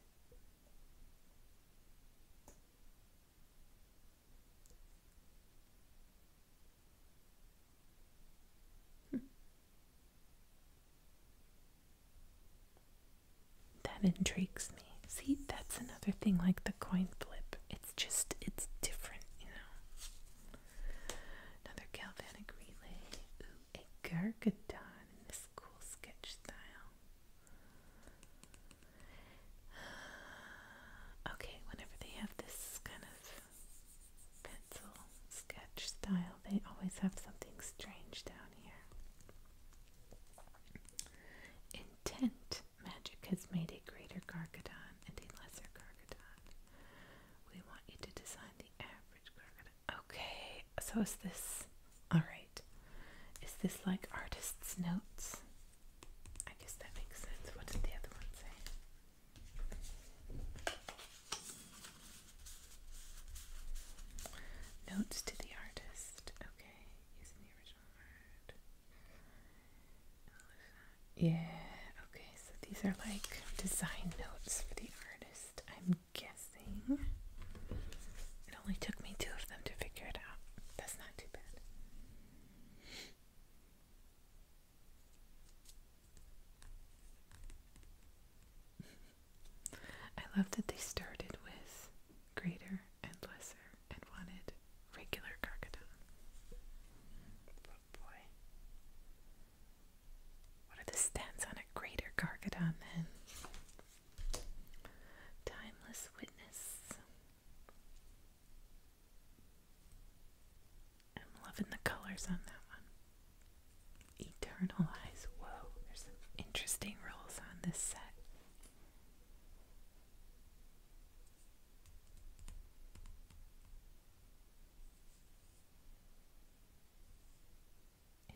Hmm. That intrigues me. See, that's another thing like the coin flip. It's just, it's different, you know. Another galvanic relay. Ooh, a Gargadon in this cool sketch style. <sighs> Okay, whenever they have this kind of pencil sketch style, they always have something strange down here. Intent magic has made a greater Gargadon and a lesser Gargadon. We want you to design the average Gargadon. Okay, so is this. Alright. Is this like artist's notes? I guess that makes sense. What did the other one say? Notes to the artist. Okay, using the original art. Yeah, okay, so these are like design notes for the artist, I'm guessing. It only took me two of them to figure it out. That's not too bad. I love that they started with greater and lesser, and wanted regular Carcadon. boy, what are the stats on a greater Carcadon then? Timeless Witness. I'm loving the colors on that one. Eternal Eyes. Whoa, there's some interesting rolls on this set.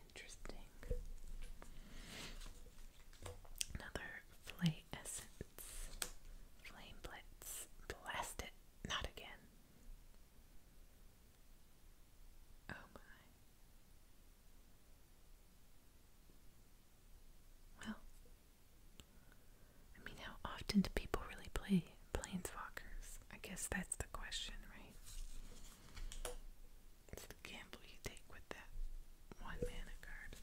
Interesting. Another flay essence. Flame blitz. Blast it. Not again. Oh my. Well, I mean, how often do people really play planeswalkers? I guess that's the question, right? It's the gamble you take with that one mana card.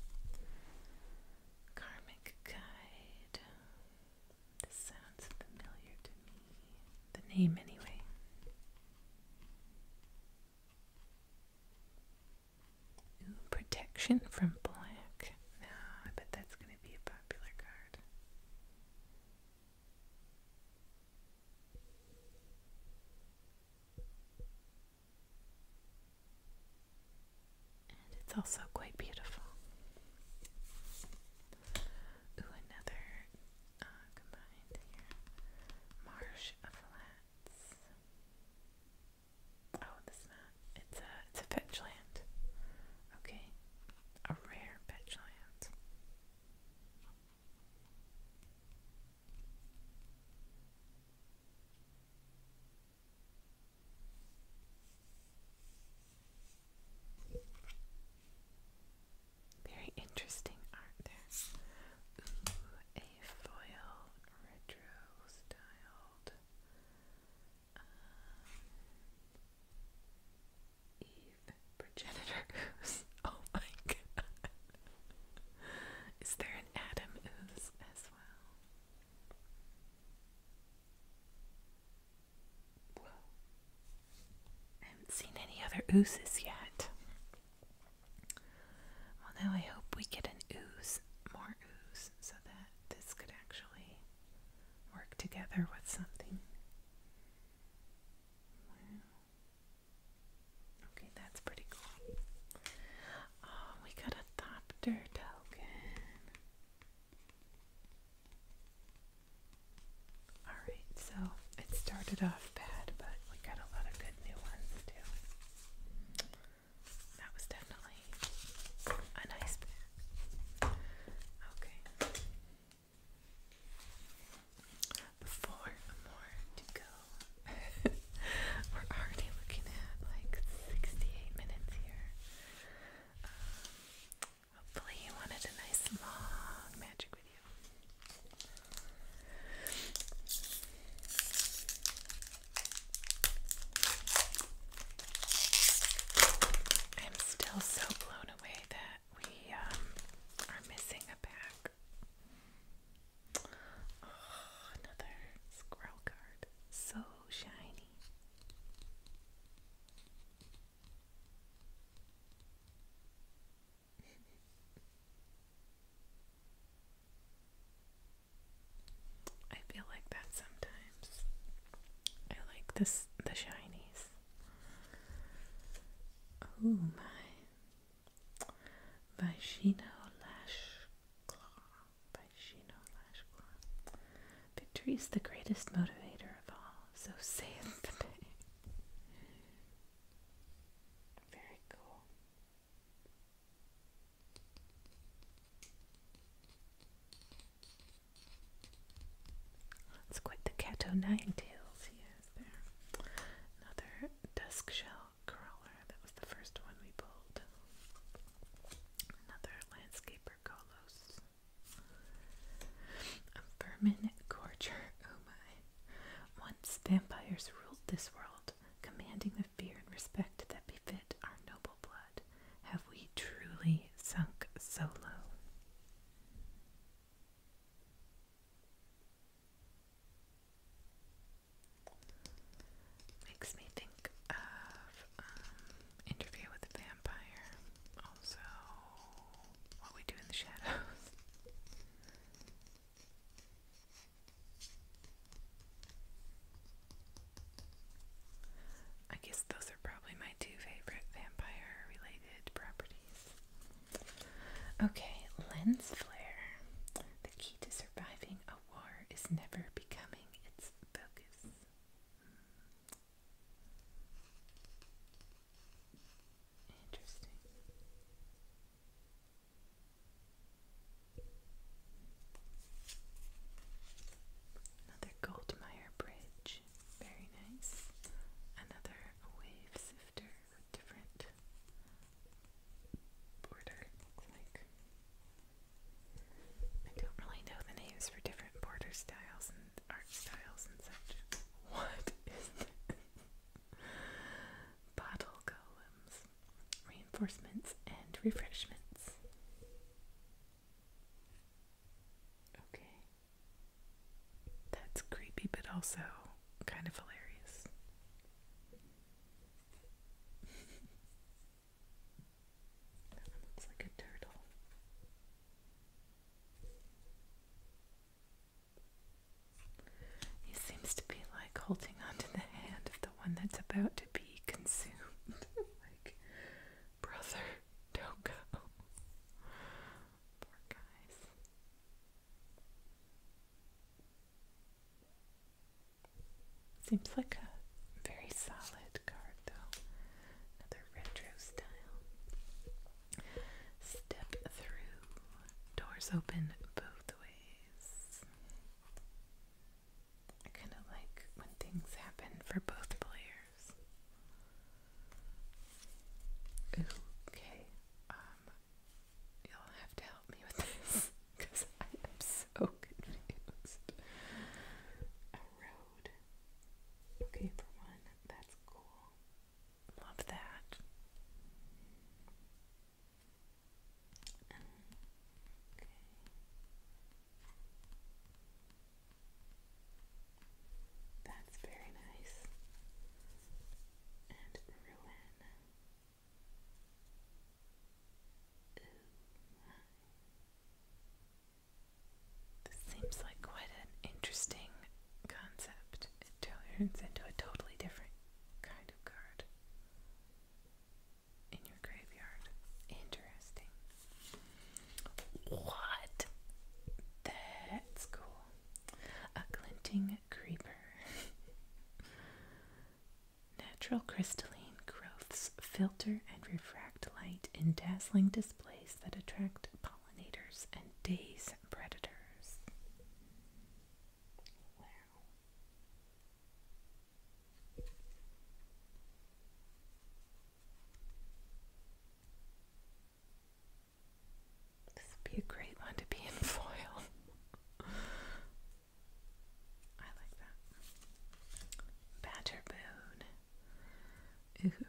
Karmic Guide. This sounds familiar to me. The name, anyway protection from black. No, I bet that's going to be a popular card. And it's also quite beautiful. Ooh, another uh, combined here. Marsh Flats. Oh, that's not. It's a it's a fetchland. Okay, a rare fetchland. Very interesting art there. a foil retro style called um, Eve Progenitor Ooze. <laughs> Oh my god. Is there an Adam Ooze as well? haven't seen any other ooses yet. Well, now I hope we get an ooze more so that this could actually work together with something. Okay, that's pretty cool. Um, we got a Thopter token. Alright, so it started off bad, but we got a lot of good new ones too. That was definitely a nice pair. Okay. Four more to go. <laughs> We're already looking at like 68 minutes here. Um, hopefully, you wanted a nice long magic video. I'm still so blown away that we um, are missing a pack. Oh, another scroll card. So shiny. <laughs> I feel like that sometimes. I like this the shinies. Oh my Vishino Lash Claw. Vishino Lash Claw. Victory is the greatest motivator of all, so saith the Very cool. Let's quit the Cato Nine Tails he has there. Another dusk shell crawler. That was the first one we pulled. Another landscaper Golos. A vermin gorger. Oh my. Once vampires ruled this world, commanding the fear and respect that befit our noble blood, have we truly sunk so low? Makes me think of um, Interview with the Vampire, also What We Do in the Shadows. I guess those are probably my two favorite vampire related properties. Okay, lens flare. The key to surviving a war is never becoming its focus. Hmm. Interesting. Another Goldmeyer bridge, very nice. Another wave sifter different border, I don't really know the names for different border styles and art styles and such. <laughs> What is this? Bottle golems reinforcements, and refreshments. Okay. That's creepy, but also kind of hilarious. that one looks like a turtle. He seems to be like holding onto the hand of one that's about to be consumed. <laughs> like, brother, don't go. Poor guys. Seems like a very solid card, though. Another retro style. Step through. Doors open both ways. I kind of like when things happen for both players. Okay, um, you'll have to help me with this because <laughs> I am so confused. A road. Okay, for one, that's cool. Love that. That's very nice. And ruin. This seems like quite an interesting concept. It turns into a totally different kind of card in your graveyard. Interesting. What? That's cool. A glinting creeper. <laughs> Natural crystalline growths filter and refract light in dazzling displays that attract pollinators and daze predators. This would be a great one to be in <laughs> foil. I like that. Badger Ooh.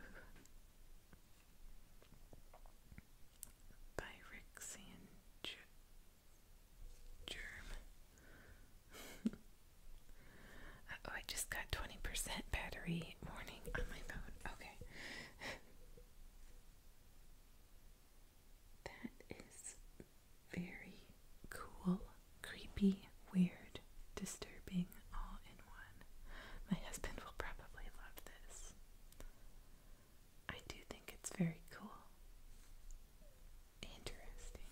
By Rick Germ. <laughs> oh, I just got 20% battery warning on my phone. Okay. <laughs> that is very cool, creepy, weird, disturbing, all in one. My husband will probably love this. I do think it's very cool. Interesting.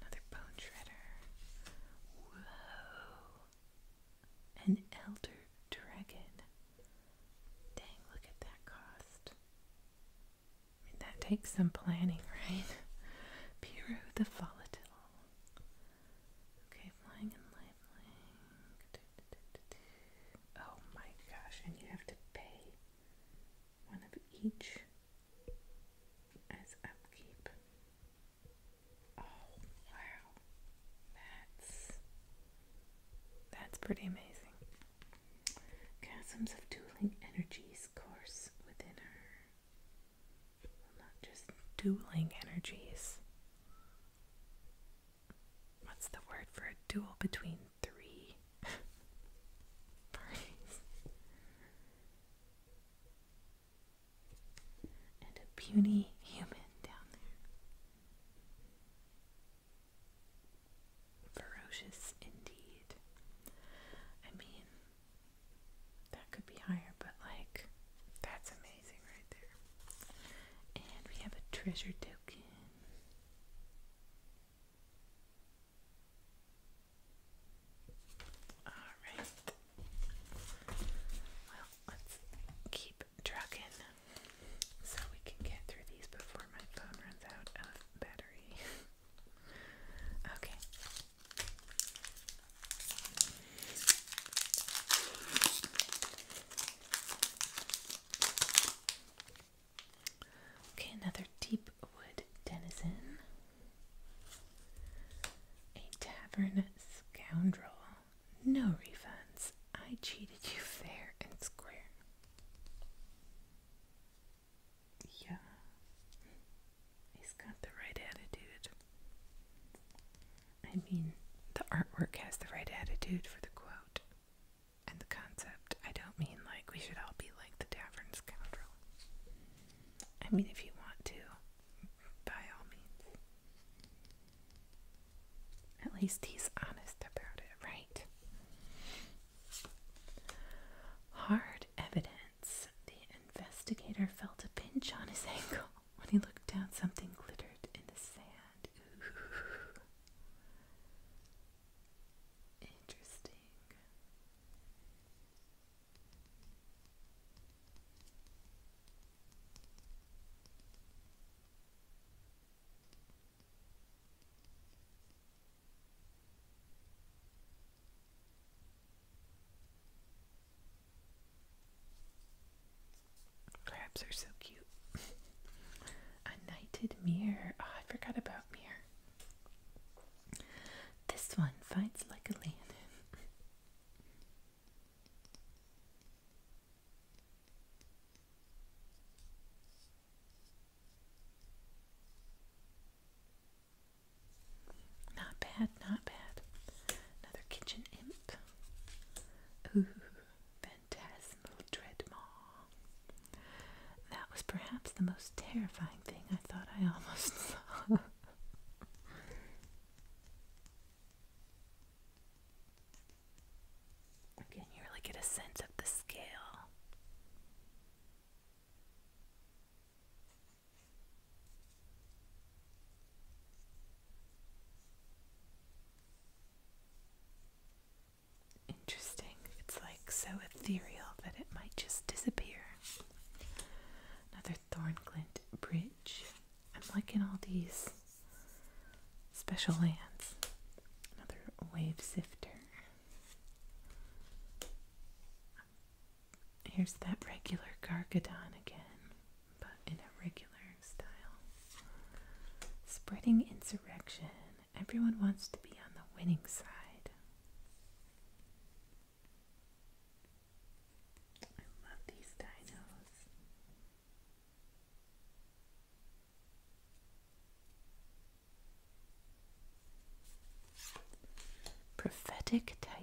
Another bone shredder. Whoa. An elder dragon. Dang, look at that cost. I mean, that takes some planning, right? <laughs> Piero the Volatile. Okay, flying and lifelink. Oh my gosh, and you have to pay one of each as upkeep. Oh wow, that's that's pretty amazing. Chasms of dueling energies course within her. not just dueling energies. What's the word for a duel between three Parties. And a puny human down there. Ferocious indeed. I mean, that could be higher, but like, that's amazing right there. And we have a treasure token. Alright. Well, let's keep trucking so we can get through these before my phone runs out of battery. <laughs> okay. Okay, another deep wood denizen. A tavern scoundrel. No refunds. I cheated you fair and square. Yeah. He's got the right attitude. I mean, the artwork has the right attitude for the quote and the concept. I don't mean like we should all be like the tavern scoundrel. I mean, if you want to, by all means. At least he's honest about it, right? Hard evidence. The investigator felt a pinch on his ankle when he looked down. Something glittered in the sand. Interesting. Crabs are so cute. <laughs> A knighted mirror. Oh, I forgot about mirror. This one fights like a lion. Not bad, not bad. Another kitchen imp. Ooh, phantasmal dreadmaw. That was perhaps the most terrifying thing I thought I almost <laughs> saw. Again, you really get a sense of the scale. Interesting. It's like so ethereal that it might just disappear. Another Thornclint Bridge. I'm liking all these special lands. Another Wave Sifter. Here's that regular Gargadon again, but in a regular style. Spreading insurrection. Everyone wants to be on the winning side. I love these dinos. Prophetic Titan.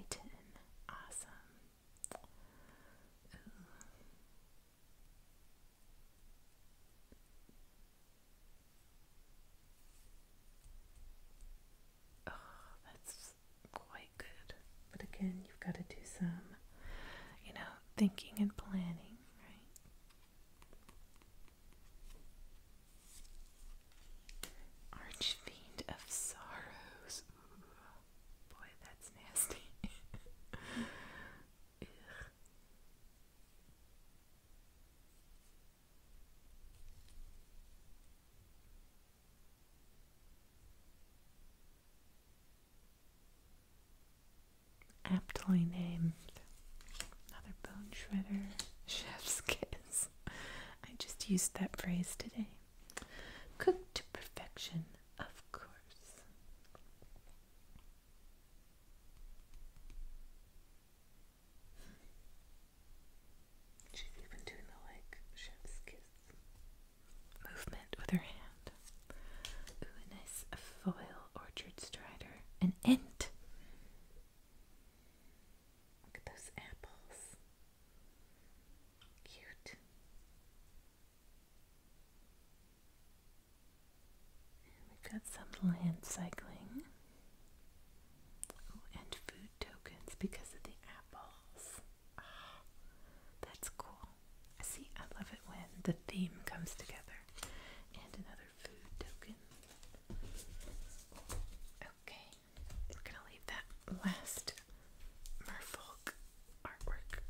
Awesome. Oh, that's quite good. But again, you've got to do some, you know, thinking and planning, right? Archfiend of Sorrows. boy, that's nasty. <laughs> Aptly named. Another bone shredder. <laughs> Chef's kiss. I just used that phrase today. Cooked to perfection, of course. She's even doing the like chef's kiss movement with her hand. Ooh, a foil orchard strider. An int. Look at those apples. Cute. we've got some land cycling. Oh, and food tokens because of the apples. Ah, that's cool. See, I love it when the theme comes together. And another food token. Okay, we're gonna leave that last merfolk artwork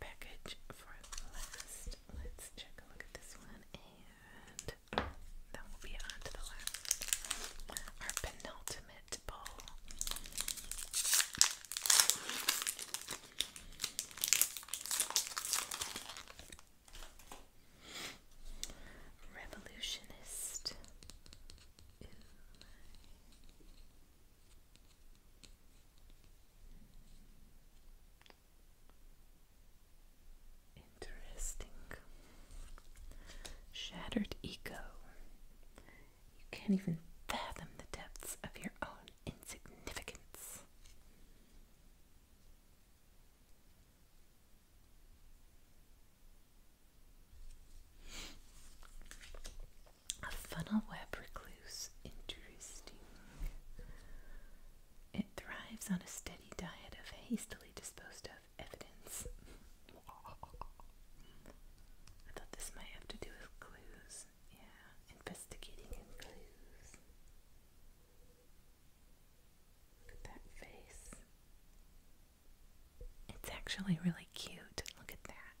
package for last. Let's check a look at this one and last. will be on to the last. Our penultimate bowl. Revolutionist. Interesting. Shattered ego. You can't even fathom the depths of your own insignificance. A funnel web recluse. Interesting. It thrives on a steady diet of hastily disposed of evidence. I thought this might have to do with clues. Yeah, investigating clues. Look at that face. It's actually really cute. Look at that.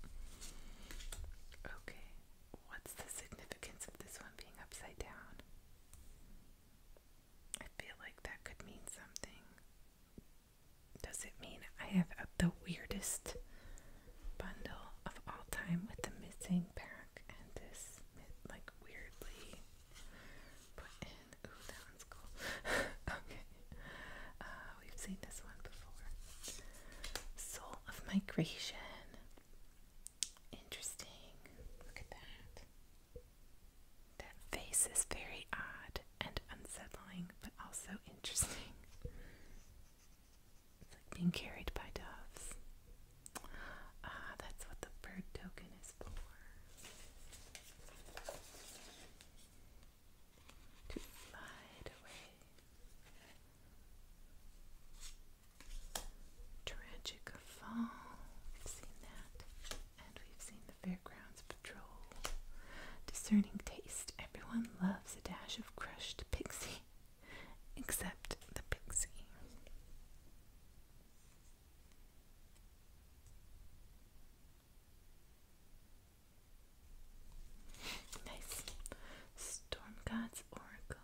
<laughs> okay, what's the significance of this one being upside down? I feel like that could mean something. Does it mean I have the weirdest bundle of all time with the missing pack and this, like, weirdly put in? Ooh, that one's cool. <laughs> okay. Uh, we've seen this one before. Soul of Migration. Interesting. Look at that. That face is very odd and unsettling, but also interesting. It's like being carried by doves. Ah, that's what the bird token is for. To slide away Tragic Fall, we've seen that. And we've seen the Fairgrounds Patrol. Discerning Taste, everyone loves a dash of crushed pixie, except the pixie. Nice. Storm God Oracle.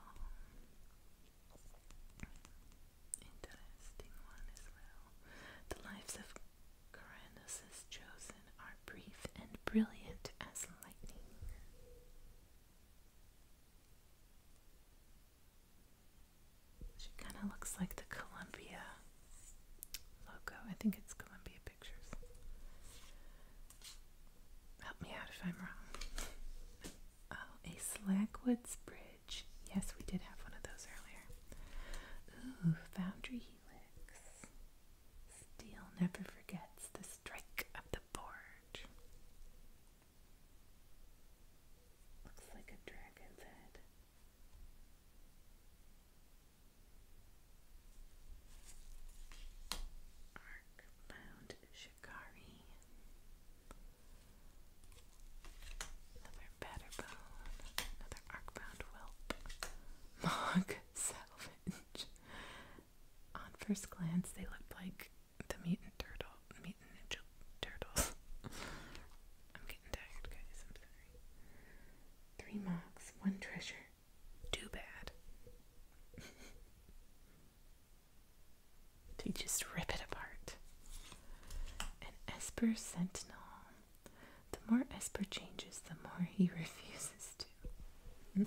Interesting one as well. The lives of Caranus's chosen are brief and brilliant as lightning. She kind of looks like the Columbia logo. I think it's Columbia Pictures help me out if I'm wrong. Oh, a Slackwood's Bridge. Yes, we did have one of those earlier. Ooh, Foundry Helix. Steel never forgets the strike of the forge. Looks like a dragon's head. Arc bound Shikari, another Batterbone, another Arcbound Whelp, <laughs> Mog Salvage. On first glance, they looked like the mutant turtle, mutant turtles. <laughs> I'm getting tired, guys. I'm sorry. Three Mogs, one treasure. Too bad. <laughs> They just rip it apart. And Esper Sentinel. The more Esper changes, the more he <laughs> refuses to. Hmm?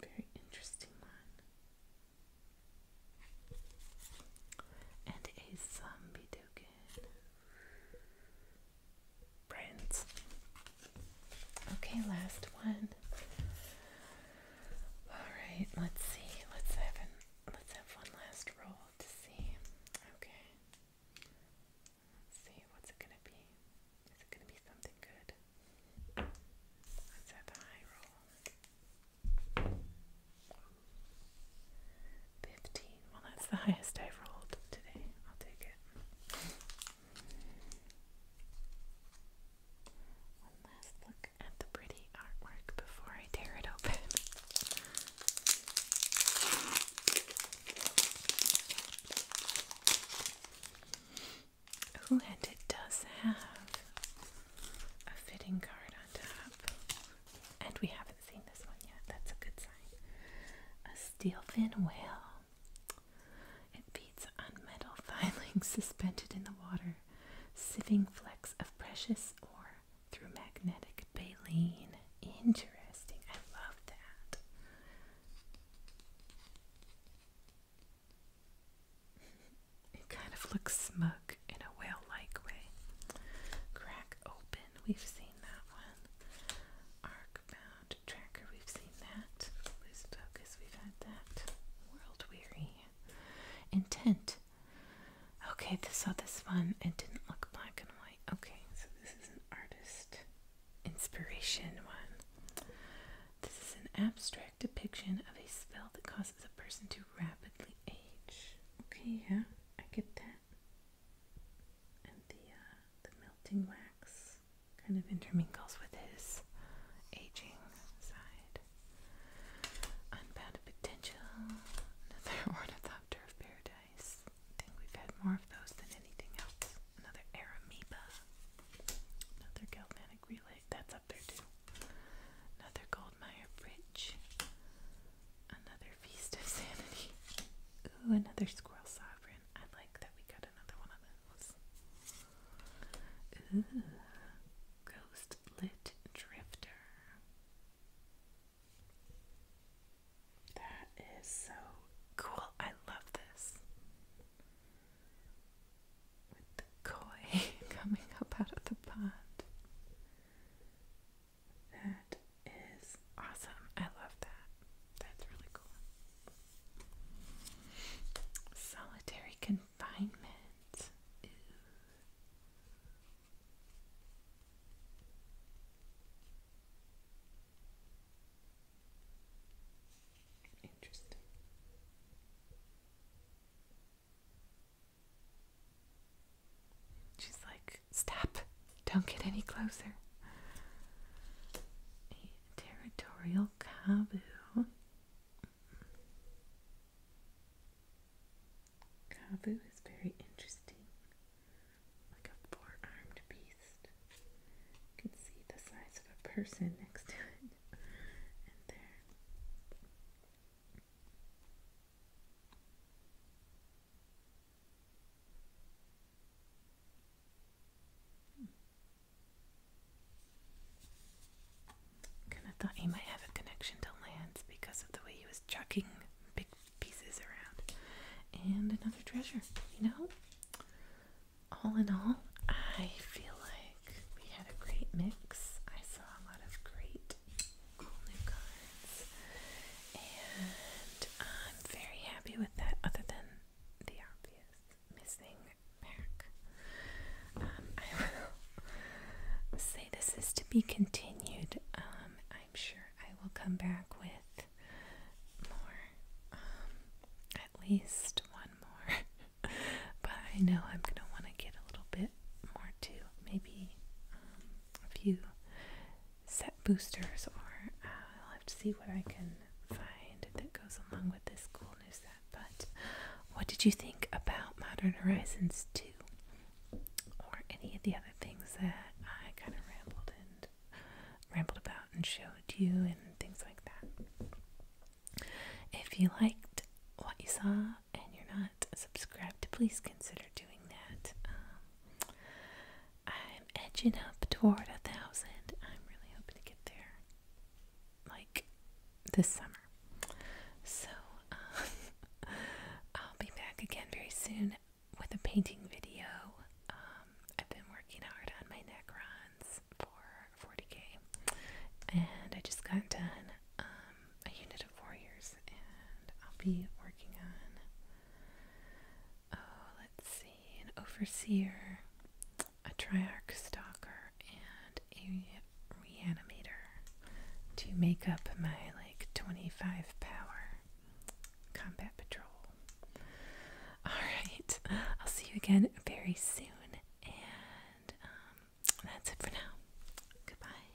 very interesting one. And a zombie doku brands. Okay, last one. All right, let's see. Let's have an, let's have one last roll to see. Okay. Let's see what's it gonna be. Is it gonna be something good? Let's have a high roll. 15. Well, that's the highest I've rolled today. I'll take it. One last look at the pretty artwork before I tear it open. Ooh, and it does have a fitting card on top. And we haven't seen this one yet. That's a good sign. A steelfin whale. It beats on metal <laughs> filings suspended in the water, sieving flecks of precious ore through magnetic baleen. Interesting. I love that. <laughs> It kind of looks smug in a whale-like way. Crack open, we've seen that one. Arcbound tracker, we've seen that. Loose focus, we've had that. World weary. Intent. Okay, I saw this one. It didn't look black and white. Okay, so this is an artist inspiration one. This is an abstract depiction of a spell that causes a person to rapidly age. Okay, yeah, I get that and the uh, the melting wax kind of intermingles with his aging side. Unbounded potential, another <laughs> ornithopter of paradise. I think we've had more of those than anything else. Another Arameeba, another galvanic relay. That's up there too. Another Goldmeyer bridge, another Feast of Sanity. Ooh, another Squirrel Sovereign. I like that we got another one of those. Ooh, Ghost Lit Drifter. That is so cool. I love this. With the koi <laughs> coming up out of the pond. That is awesome. I love that. That's really cool. Solitary confinement. Interesting. She's like, Stop! Don't get any closer. A territorial Kabu. Kabu is very interesting, like a four armed beast. You can see the size of a person next to it. And there. Kind of thought he might have a connection to lands because of the way he was chucking big pieces around. And another treasure, you know? All in all, I feel like we had a great mix. I saw a lot of great cool new cards. And I'm very happy with that, other than uh, the obvious missing pack. I will say this is to be continued. I'm sure I will come back with more. at least one more. but I know I'm going to want to get a little bit more too. Maybe um, a few set boosters, or uh, I'll have to see what I can find that goes along with this cool new set. But what did you think about Modern Horizons 2 or any of the other things that I kind of rambled and rambled about and showed you and things like that? If you liked what you saw and you're not Subscribe to please consider doing that. Um, I'm edging up toward a thousand. I'm really hoping to get there like this summer. So um, <laughs> I'll be back again very soon with a painting video. Um, I've been working hard on my Necrons for 40k and I just got done a unit of warriors and I'll be working on Oh, let's see, an overseer, a triarch stalker, and a reanimator to make up my like 25 power combat patrol. Alright, I'll see you again very soon, and um, that's it for now. Goodbye.